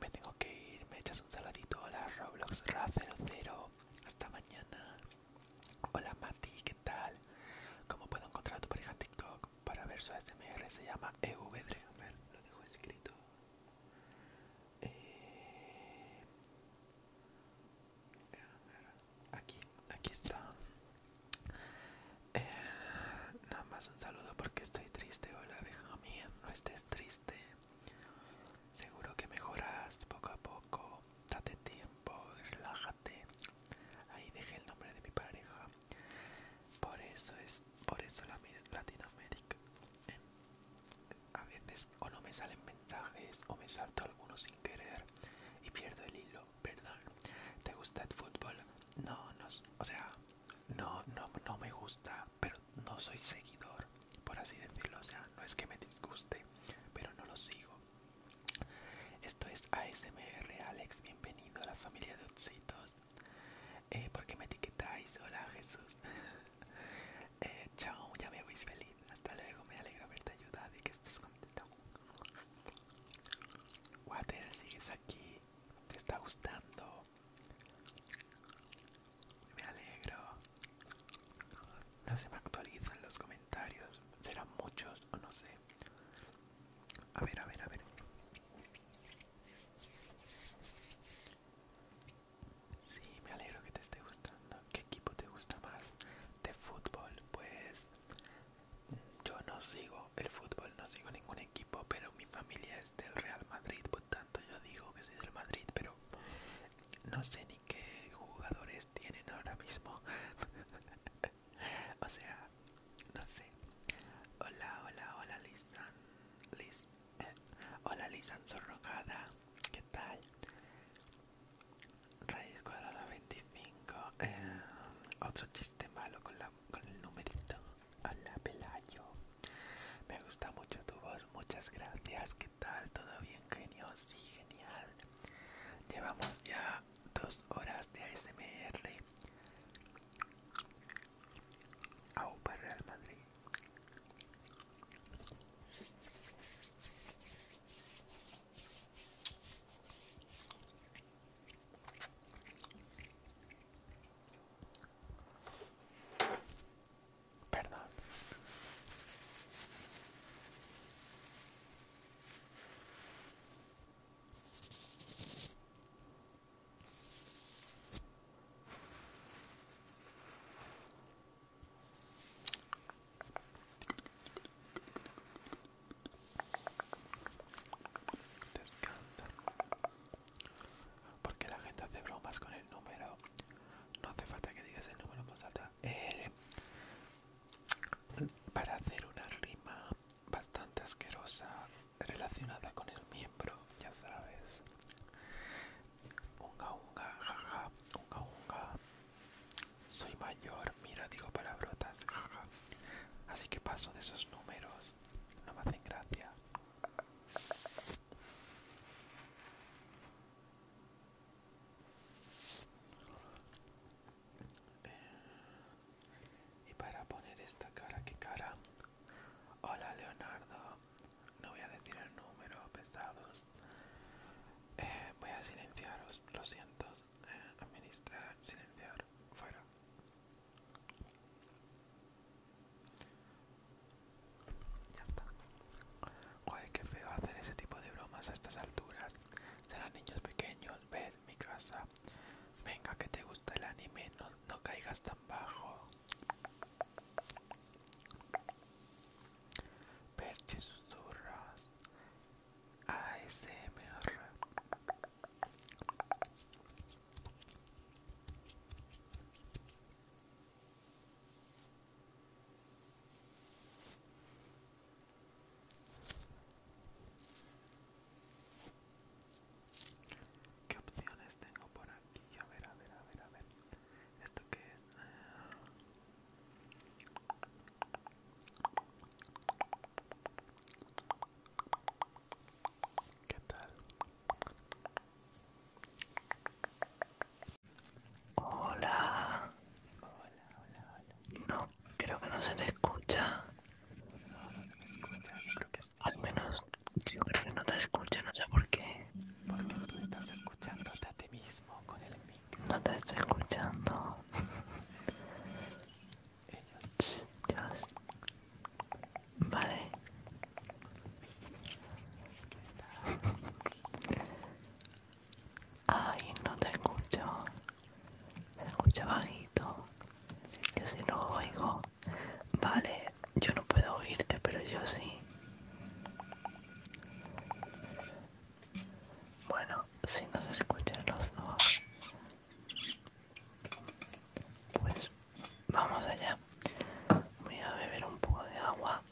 Me tengo que ir, me echas un saladito. Hola Roblox Ra 00, hasta mañana. Hola Mati, ¿qué tal? ¿Cómo puedo encontrar a tu pareja TikTok? Para ver su SMR se llama EVDRE. A ver, lo dejo escrito. Eh, aquí, aquí está. Eh, nada más un saludo porque estoy triste. Hola, abeja mía, no estés triste. Seguro que mejoras poco a poco. Date tiempo, relájate. Ahí dejé el nombre de mi pareja. Por eso es, por eso la Latinoamérica. Eh, a veces o no me salen mensajes o me salto algunos sin querer y pierdo el hilo. Perdón. ¿Te gusta el fútbol? No, no, o sea, no, no, no me gusta pero no soy seguidor, por así decirlo, o sea, no es que me disguste, pero no lo sigo. Esto es ASMR Alex, bienvenido a la familia de Otsitos. Eh, ¿Por qué me etiquetáis? Hola Jesús. Eh, chao, ya me veis feliz. Hasta luego, me alegra verte ayudado y que estés contento. Water, sigues aquí. ¿Te está gustando? Me alegro. No se me actualizan los comentarios. Serán muchos o no sé. A ver, a ver, a ver. Sí, me alegro que te esté gustando. ¿Qué equipo te gusta más de fútbol? Pues mm, yo no sigo el fútbol, no sigo ningún equipo, pero mi familia es del Real Madrid, por tanto yo digo que soy del Madrid, pero no sé ni qué jugadores tienen ahora mismo. o sea, no sé. Hola, hola, hola, Lisan. Liz. Eh, hola, Lisan Sorrojada. ¿Qué tal? Raíz cuadrada 25. otro chiste malo con, la, con el numerito. Hola, Pelayo. Me gusta mucho tu voz, muchas gracias. ¿Qué tal? ¿Todo bien, genios? Sí, genial. Llevamos ya dos horas de ASMR. Au para Real Madrid. Perdón. Porque la gente hace bromas con el número no hace falta que digas el número con eh, para hacer una rima bastante asquerosa relacionada con el miembro, ya sabes. Unga unga, jaja, unga unga. Soy mayor, mira, digo palabrotas, jaja. Así que paso de esos números, no me hacen gracia. Eh, y para poner esta cara, ¿qué cara? Hola Leonardo, no voy a decir el número, pesados. Eh, voy a silenciaros, lo siento. Eh, administrar, silenciar, fuera. Ya está. Joder, qué feo hacer ese tipo de bromas a estas alturas. Serán niños pequeños, ves mi casa. Venga, que te gusta el anime, no, caigas tan bajo. Perche susurras. ASMR. ¿Qué opciones tengo por aquí? A ver, a ver, a ver, a ver. ¿Esto qué es? ¿Qué tal? Hola. Hola, hola, hola. No, creo que no se te escucha. No, no, me escucha, creo que Al menos yo creo que no te escucho, no sé por qué. Porque tú estás escuchándote a ti mismo con el mic No te estoy escuchando. Ellos. Dios. Vale. ¿Qué tal? Ay, no te escucho. Se escucha bajito. que si no oigo. Vale, yo no puedo oírte, pero yo sí. Bueno, si no se escuchan los dos, pues vamos allá. Voy a beber un poco de agua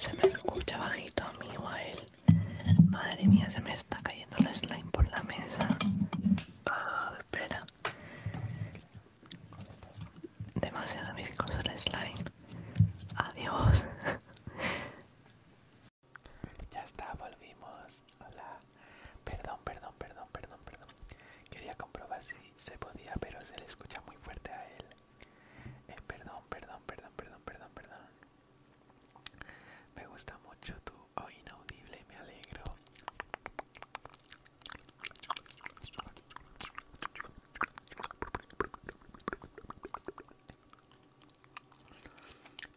se me escucha bajito a mí a él. Madre mía, se me está cayendo la slime por la mesa. Ah, espera demasiado mis cosas slime. Adiós. Ya está, volvimos. Hola. Perdón, perdón, perdón, perdón, perdón. Quería comprobar si se podía, pero se le escucha muy fuerte a él. Eh, perdón, perdón, perdón, perdón, perdón, perdón. Me gusta mucho tu oí inaudible, me alegro.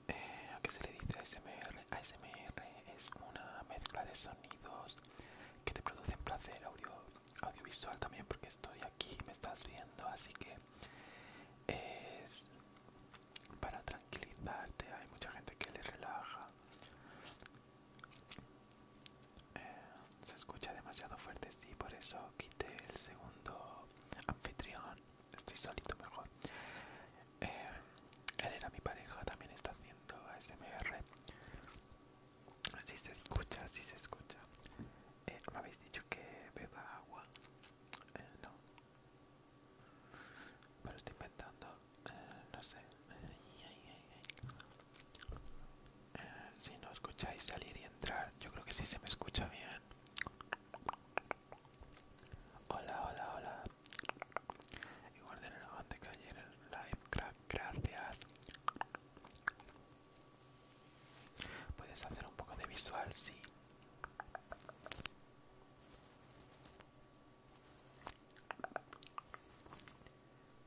Eh, ¿A qué se le dice ASMR? ASMR es una mezcla de sonidos que te producen placer audio, audiovisual también porque estoy aquí, me estás viendo, así que es para tranquilizarte. Hay mucha gente que le relaja. Eh, se escucha demasiado fuerte, sí, por eso quité el segundo anfitrión. Estoy solito mejor. Eh, él era mi pareja, también está haciendo ASMR. Así sí se escucha, así se escucha. Eh, me habéis dicho que beba agua. no. estoy inventando. no sé. Eh, si no escucháis salir y entrar yo creo que sí se me escucha bien hola hola hola igual de que ayer el live gracias puedes hacer un poco de visual sí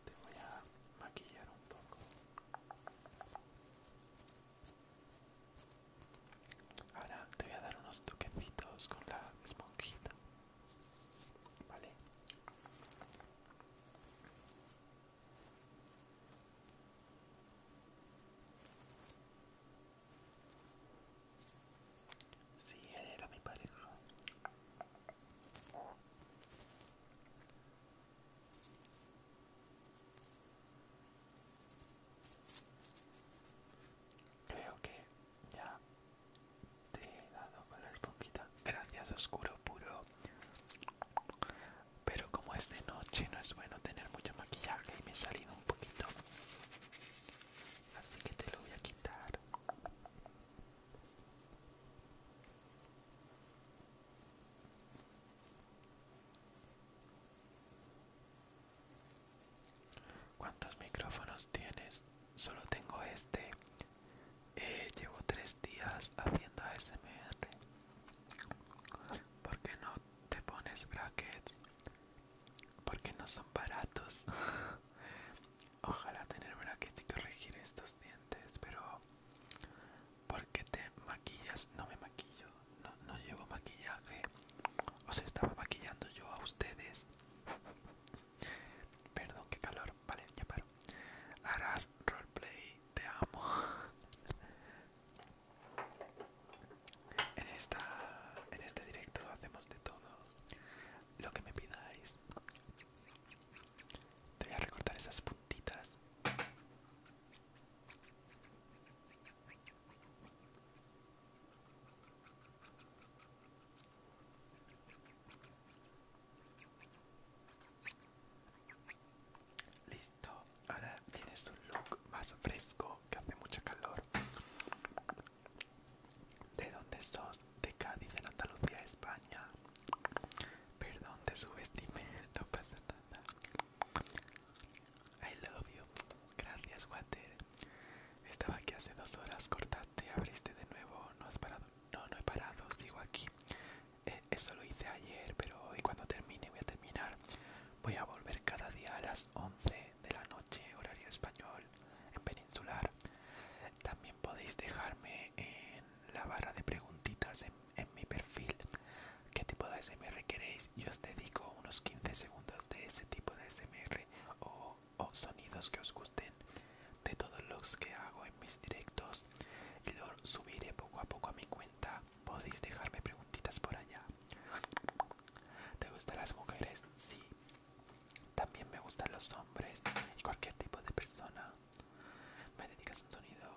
te voy a maquillar un poco Ahora te voy a dar unos toquecitos con la esponjita. Vale. Sí, era mi pareja. Creo que ya te he dado con la esponjita. Gracias, oscuro puro. Pero como es de noche, no es bueno tener mucho maquillaje y me he salido un poquito. Así que te lo voy a quitar. ¿Cuántos micrófonos tienes? Solo tengo este. Eh, llevo tres días haciendo ASMR. ¿Por qué no te pones brackets? Porque no son baratos. Ojalá tener brackets y corregir estos dientes, pero porque te maquillas? No me maquillo, no, no llevo maquillaje. Os estaba maquillando yo a ustedes. Perdón, qué calor. Vale, ya paro. Harás roleplay, te amo. En, esta, en este directo hacemos de todo lo que me pidáis. Te voy a recortar esas puntitas. Listo, ahora tienes un look más fresco que hace mucha calor. ¿De dónde sos? De Cádiz, en Andalucía, España. Perdón, te subestimé, no pasa nada. I love you. Gracias, Water. Estaba aquí hace dos horas, cortaste, abriste de nuevo, no has parado. No, no he parado, digo aquí. Eh, eso lo hice ayer, pero hoy cuando termine voy a terminar. Voy a volver cada día a las 11 de la noche, horario español, en peninsular. También podéis dejarme en la barra de preguntitas en mi perfil qué tipo de SMR queréis Yo os dedico unos 15 segundos de ese tipo de SMR o, sonidos que os gusten de todos los que hago en mis directos y los subiré poco a poco a mi cuenta podéis dejarme preguntitas por allá ¿Te gustan las mujeres? Sí. También me gustan los hombres y cualquier tipo de persona. ¿Me dedicas un sonido?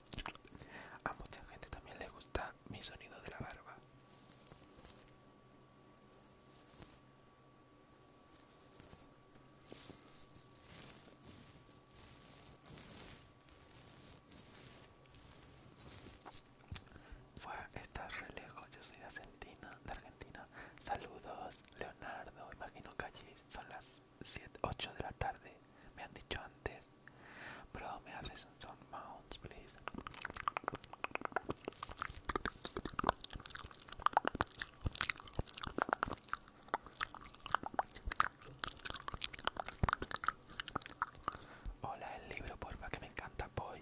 A mucha gente también le gusta mi sonido de la barba. Fue re lejos, yo soy de Argentina, de Argentina. Saludos, Leonardo, imagino que allí son las 7, 8 de la tarde, me han dicho antes. Put all my on mounds, please. Hola, el libro, porfa, que me encanta, Boy.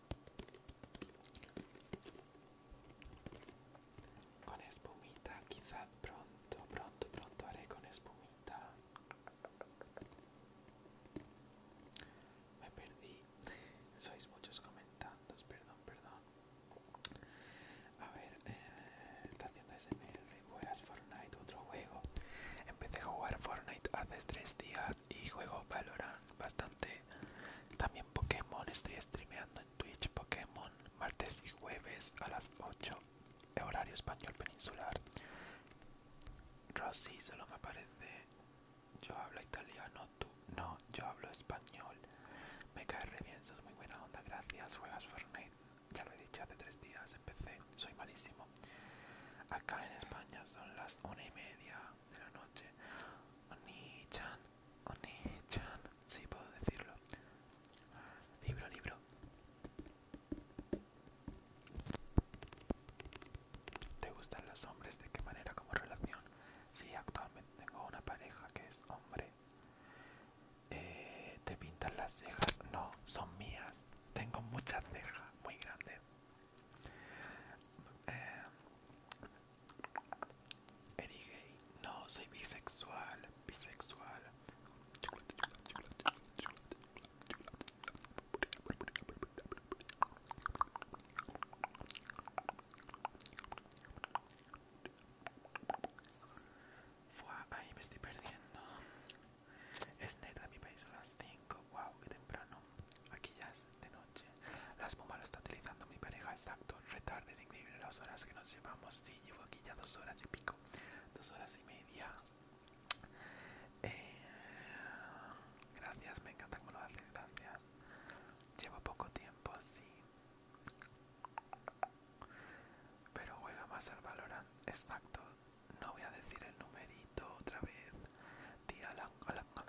Con espumita, quizás pronto, pronto, pronto haré con espumita. Me perdí. Sois muchos comentando, perdón, perdón. A ver, eh, está haciendo es Fortnite, otro juego. Empecé a jugar Fortnite hace tres días y juego Valorant bastante. También Pokémon, estoy streameando en Twitch Pokémon martes y jueves a las 8 horario español peninsular. Rosy solo me parece yo hablo italiano, tú no, yo hablo español. Me cae re bien, sos muy buena onda, gracias. Juegas Fortnite, ya lo he dicho hace tres días, empecé, soy malísimo. Acá en España son las 1 y media de la noche. Oni-chan, si puedo decirlo. Libro, libro. ¿Te gustan los hombres? ¿De qué manera? ¿Como relación? Sí, actualmente tengo una pareja que es hombre. Eh, ¿Te pintan las cejas? No, son mías. Tengo muchas cejas, muy grandes. Eh, Eres gay. No, soy bisexual. Bisexual. Fua, ahí me estoy perdiendo. Es neta, mi país a las 5. Wow, qué temprano. Aquí ya es de noche. Las pumas lo está utilizando mi pareja, exacto. Retarde increíble las horas que nos llevamos. Sí, llevo aquí ya dos horas y pico. Dos horas y media. Eh, gracias, me encanta como lo haces, gracias. Llevo poco tiempo, sí. Pero juega más al valor, exacto. No voy a decir el numerito otra vez. Tía, Alan, Alan,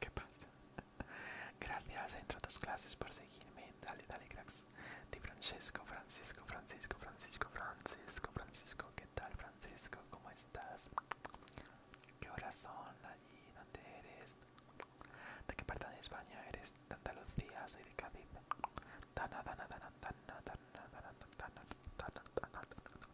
¿Qué pasa? Gracias, entro a tus clases por seguirme. Dale, dale, cracks. Di Francesco, Francisco, Francisco, Francisco, Francisco, Francisco. ¿Qué tal, Francisco? ¿Cómo estás? ¿Qué horas son allí? ¿Dónde eres? ¿De qué parte de España eres? ¿De Andalucía? Soy de Cádiz. Tana, tana, tana, tana, tana, tana, tana, tana, tana, tana,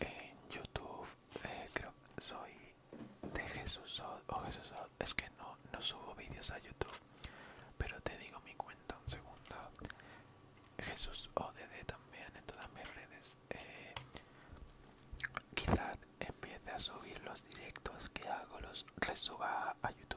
En YouTube eh, creo que soy de Jesús o Jesús es que no, no subo vídeos a YouTube, pero te digo mi cuenta un segundo. Jesús ODD también en todas mis redes. Eh, quizás empiece a subir los directos que hago, los resuba a YouTube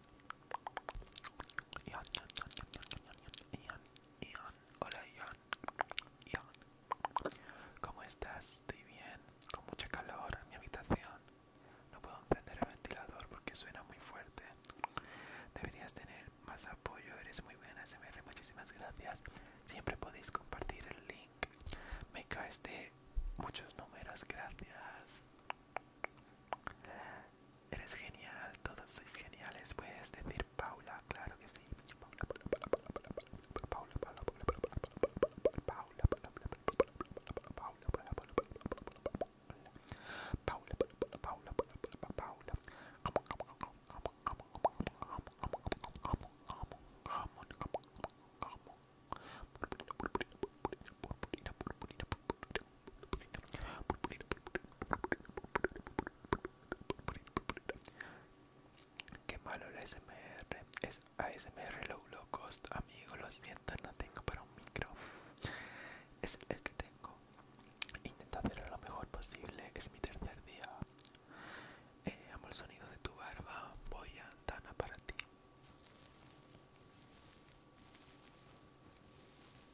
Ian, hola ¿cómo estás? Estoy bien, con mucha calor en mi habitación. No puedo encender el ventilador porque suena muy fuerte. Deberías tener más apoyo, eres muy buena SMR, muchísimas gracias. Siempre podéis compartir el link. Me caes de muchos números, gracias. Eres genial, todos sois geniales. Puedes decir Paula, claro que sí. Paula, Paula, Paula, Paula, Paula, Paula, Paula, Paula, Paula, Paula, Paula, Paula, Paula, Qué malo la SMR. Es ASMR low, low cost, amigo. Lo siento, no tengo para un micro. Es el que tengo. Intenta lo mejor posible. Es mi tercer día. Eh, amo el sonido de tu barba. Voy a Dana para ti.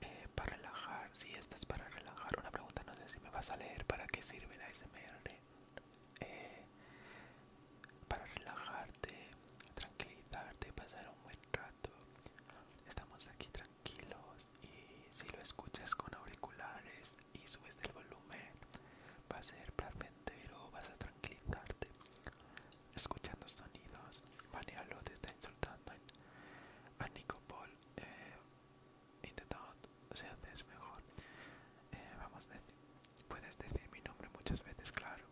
Eh, para relajar si estás es para relajar una pregunta no sé si me vas a leer para qué sirve la smr eh, para relajarte tranquilizarte pasar un buen rato estamos aquí tranquilos y si lo escuchas con auriculares y subes el volumen va a ser placentero vas a tranquilizarte escuchando sonidos. está insultando a Nico Paul. Eh, O se es mejor. Eh, vamos, decir... puedes decir mi nombre muchas veces, claro.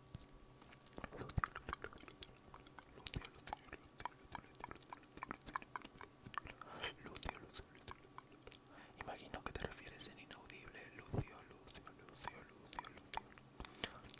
Imagino que te refieres en inaudible, Lucio, Lucio, Lucio.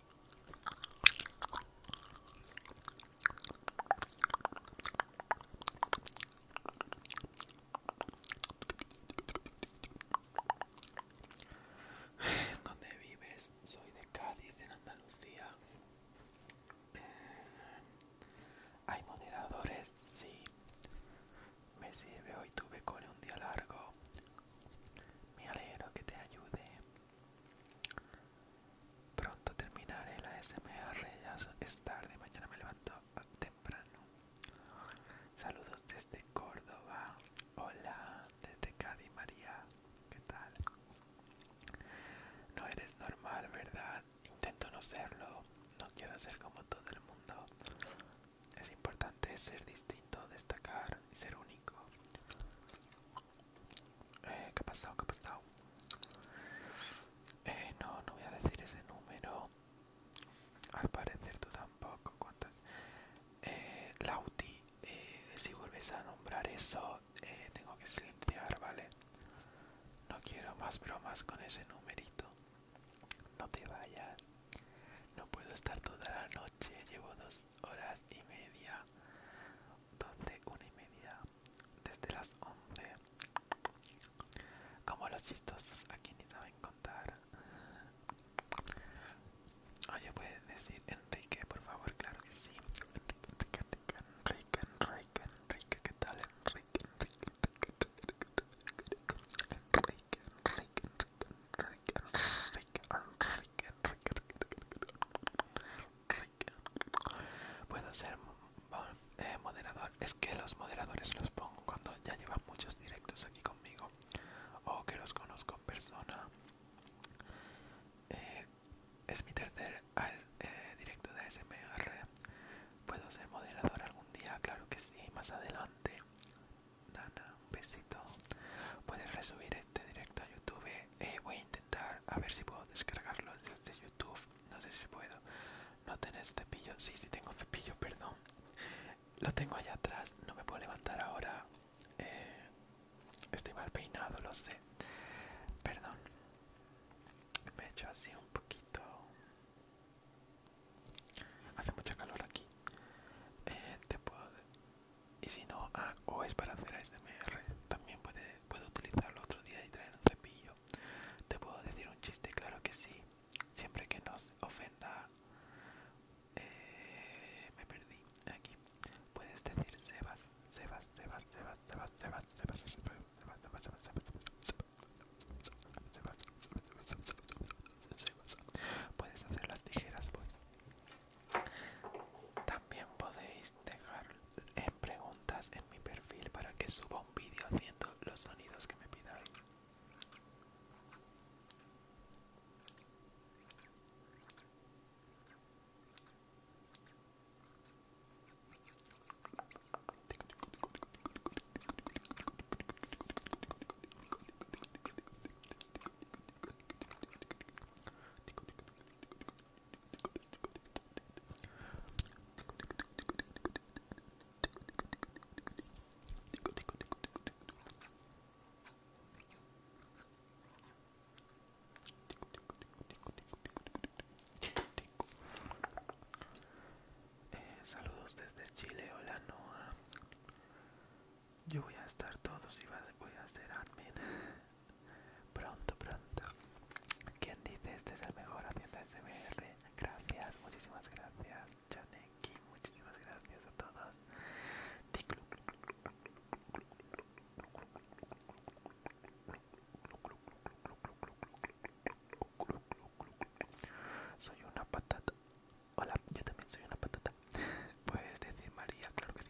¿Dónde vives? Soy de Cádiz, en Andalucía. Eh, ¿Hay moderadores? Sí. Me sirve, hoy tuve con un día largo. Me alegro que te ayude. Pronto terminaré la SMR, ya es tarde, mañana me levanto temprano. Saludos desde Córdoba. Hola, desde Cádiz, María. ¿Qué tal? No eres normal, ¿verdad? Intento no serlo. No quiero ser como todo el mundo. Es importante ser distinto, destacar y ser único. Eh, ¿Qué ha pasado? ¿Qué ha pasado? Eh, no, no voy a decir ese número. Al parecer tú tampoco. Eh, Lauti, eh, si vuelves a nombrar eso, eh, tengo que silenciar, ¿vale? No quiero más bromas con ese numerito. No te vayas. No puedo estar toda la noche noche llevo dos horas y media, dos de una y media, desde las once Como los chistosos aquí ni saben contar. Oye, puedes decir Enrique, por favor, claro que sí. Enrique, Enrique, Enrique, Enrique, Enrique, ¿qué tal? Enrique, Enrique, Enrique, Enrique, Enrique, Enrique, Enrique, Puedo ser eh, moderador. Es que los moderadores los pongo cuando ya llevan muchos directos aquí conmigo o que los conozco en persona. Eh, es mi tercer eh, directo de SMR ¿Puedo ser moderador algún día? Claro que sí, más adelante. Nana, un besito. Puedes resubir este directo a YouTube. Eh, voy a intentar a ver si puedo descargarlo desde YouTube. No sé si puedo. ¿No tenés cepillo? Sí, sí tengo cepillo, perdón. Lo tengo allá atrás. No me puedo levantar ahora. Eh, estoy mal peinado, lo sé. Perdón. Me echo así un poquito. Hace mucha calor aquí. Eh, te puedo y si no, o es para hacer ASMR, también puede, utilizarlo otro día y traer un cepillo. ¿Te puedo decir un chiste? Claro que sí. Siempre que nos ofenda... me perdí aquí. Puedes decir Sebas, Sebas, Sebas, Sebas, Sebas, Sebas, Sebas, Sebas, Sebas, Sebas, Sebas, Sebas, Sebas, Puedes hacer las tijeras, pues. También podéis dejar eh, preguntas en mi perfil para que suba un vídeo haciendo los sonidos que me pidan eh, saludos desde Chile, hola Noah yo voy a estar todos y voy a hacer admin pronto, pronto. ¿Quién dice este es el mejor haciendo SMR? Gracias, muchísimas gracias, Chaneki, muchísimas gracias a todos. Soy una patata. Hola, yo también soy una patata. Puedes decir María, claro que sí.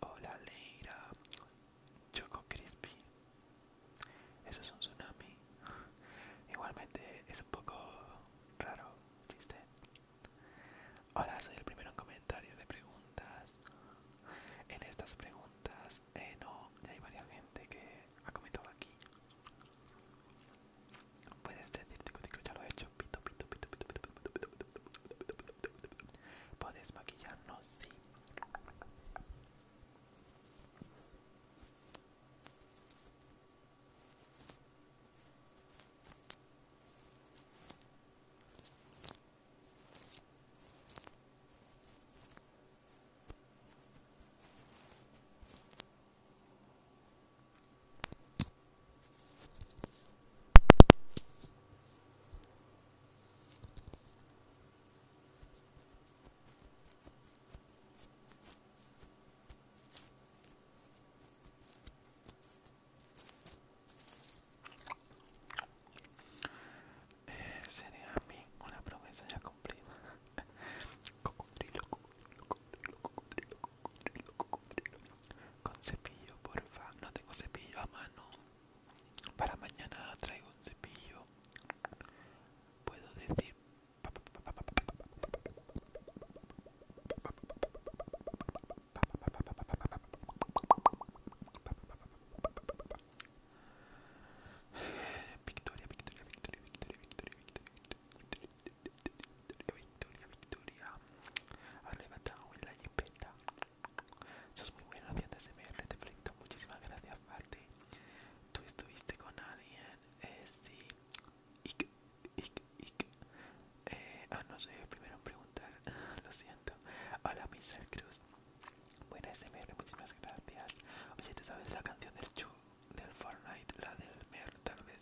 Hola Leira Choco Crispy Eso es un tsunami Igualmente es un poco raro ¿Viste? Hola, soy el primero en comentario de preguntas En estas preguntas eh, No, ya hay varias gente que ha comentado aquí Puedes decirte que ya lo he hecho pito pito pito Puedes maquillarnos, sí eh, sería a mí una promesa ya cumplida. cocodrilo, cocodrilo, cocodrilo, cocodrilo, con cepillo, porfa. No tengo cepillo a mano. Para mañana traigo un cepillo. Puedo decir. Victoria, Victoria, Victoria, Victoria, Victoria Victoria, Victoria, Victoria. Has levantado y la Sos muy buena haciendo SMR, te felicito. Muchísimas gracias, Marty. ¿Tú estuviste con alguien? Eh, sí. ik ik Eh, ah, no soy el primero en preguntar. Lo siento. Hola, Mr. Cruz. Buena SMR, muchísimas gracias. Oye, ¿te sabes la canción del Chu? Del Fortnite, la del Mer, tal vez.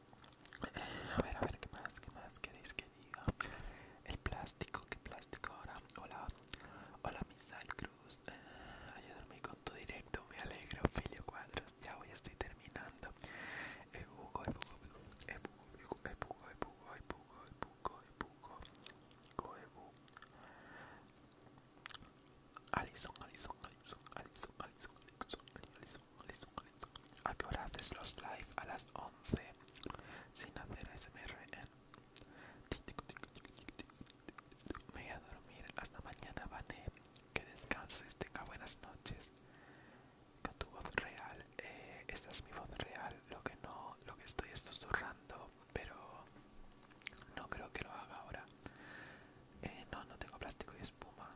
Eh, a ver, a ver, ¿qué más? ¿Qué más queréis que diga? El plástico, ¿qué plástico ahora? Hola, hola, Misal Cruz. Eh, Ayer dormí con tu directo, me alegro, Filio Cuadros. Ya voy, estoy terminando. Ebugo, ebugo, ebugo, ebugo, ebugo, ebugo, ebugo, ebugo, ebugo, ebugo, eh, ebugo. ebu Alison, Alison, Alison, Alison, Alison, Alison, ¿A qué hora haces los live? A las 11 sin hacer SMR Me voy a dormir hasta mañana, Vane. Que descanses, tenga buenas noches. Con tu voz real, eh, esta es mi voz real. Lo que no, lo que estoy es susurrando, pero no creo que lo haga ahora. Eh, no, no tengo plástico y espuma.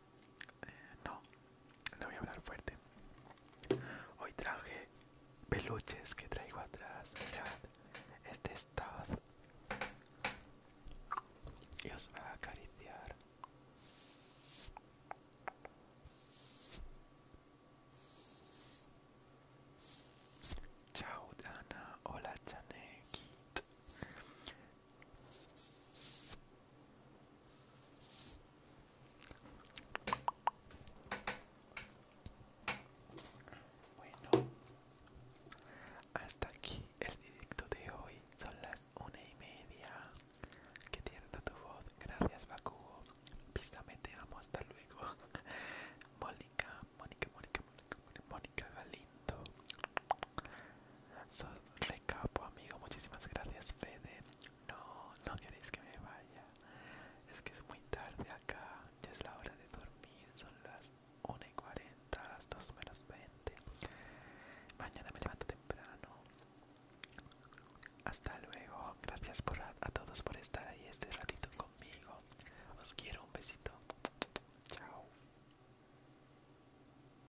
Eh, no, no voy a hablar fuerte. Hoy traje peluches que traigo atrás. Mirad, este estado. Y os va a acariciar. Chao Dana, hola Chanekit. Bueno, hasta aquí el directo de hoy. Son las una y media. Que tierna tu voz. Gracias, Bakugo. Písame, te Hasta luego. Mónica, Mónica, Mónica, Mónica, Mónica Galindo. Soy recapo amigo, muchísimas gracias Fede. No, no queréis que me vaya. Es que es muy tarde acá, ya es la hora de dormir, son las 1 y 40, las 2 menos 20. Mañana me levanto temprano. Hasta luego, gracias a todos por estar ahí este ratito conmigo. Os quiero un besito. Chao.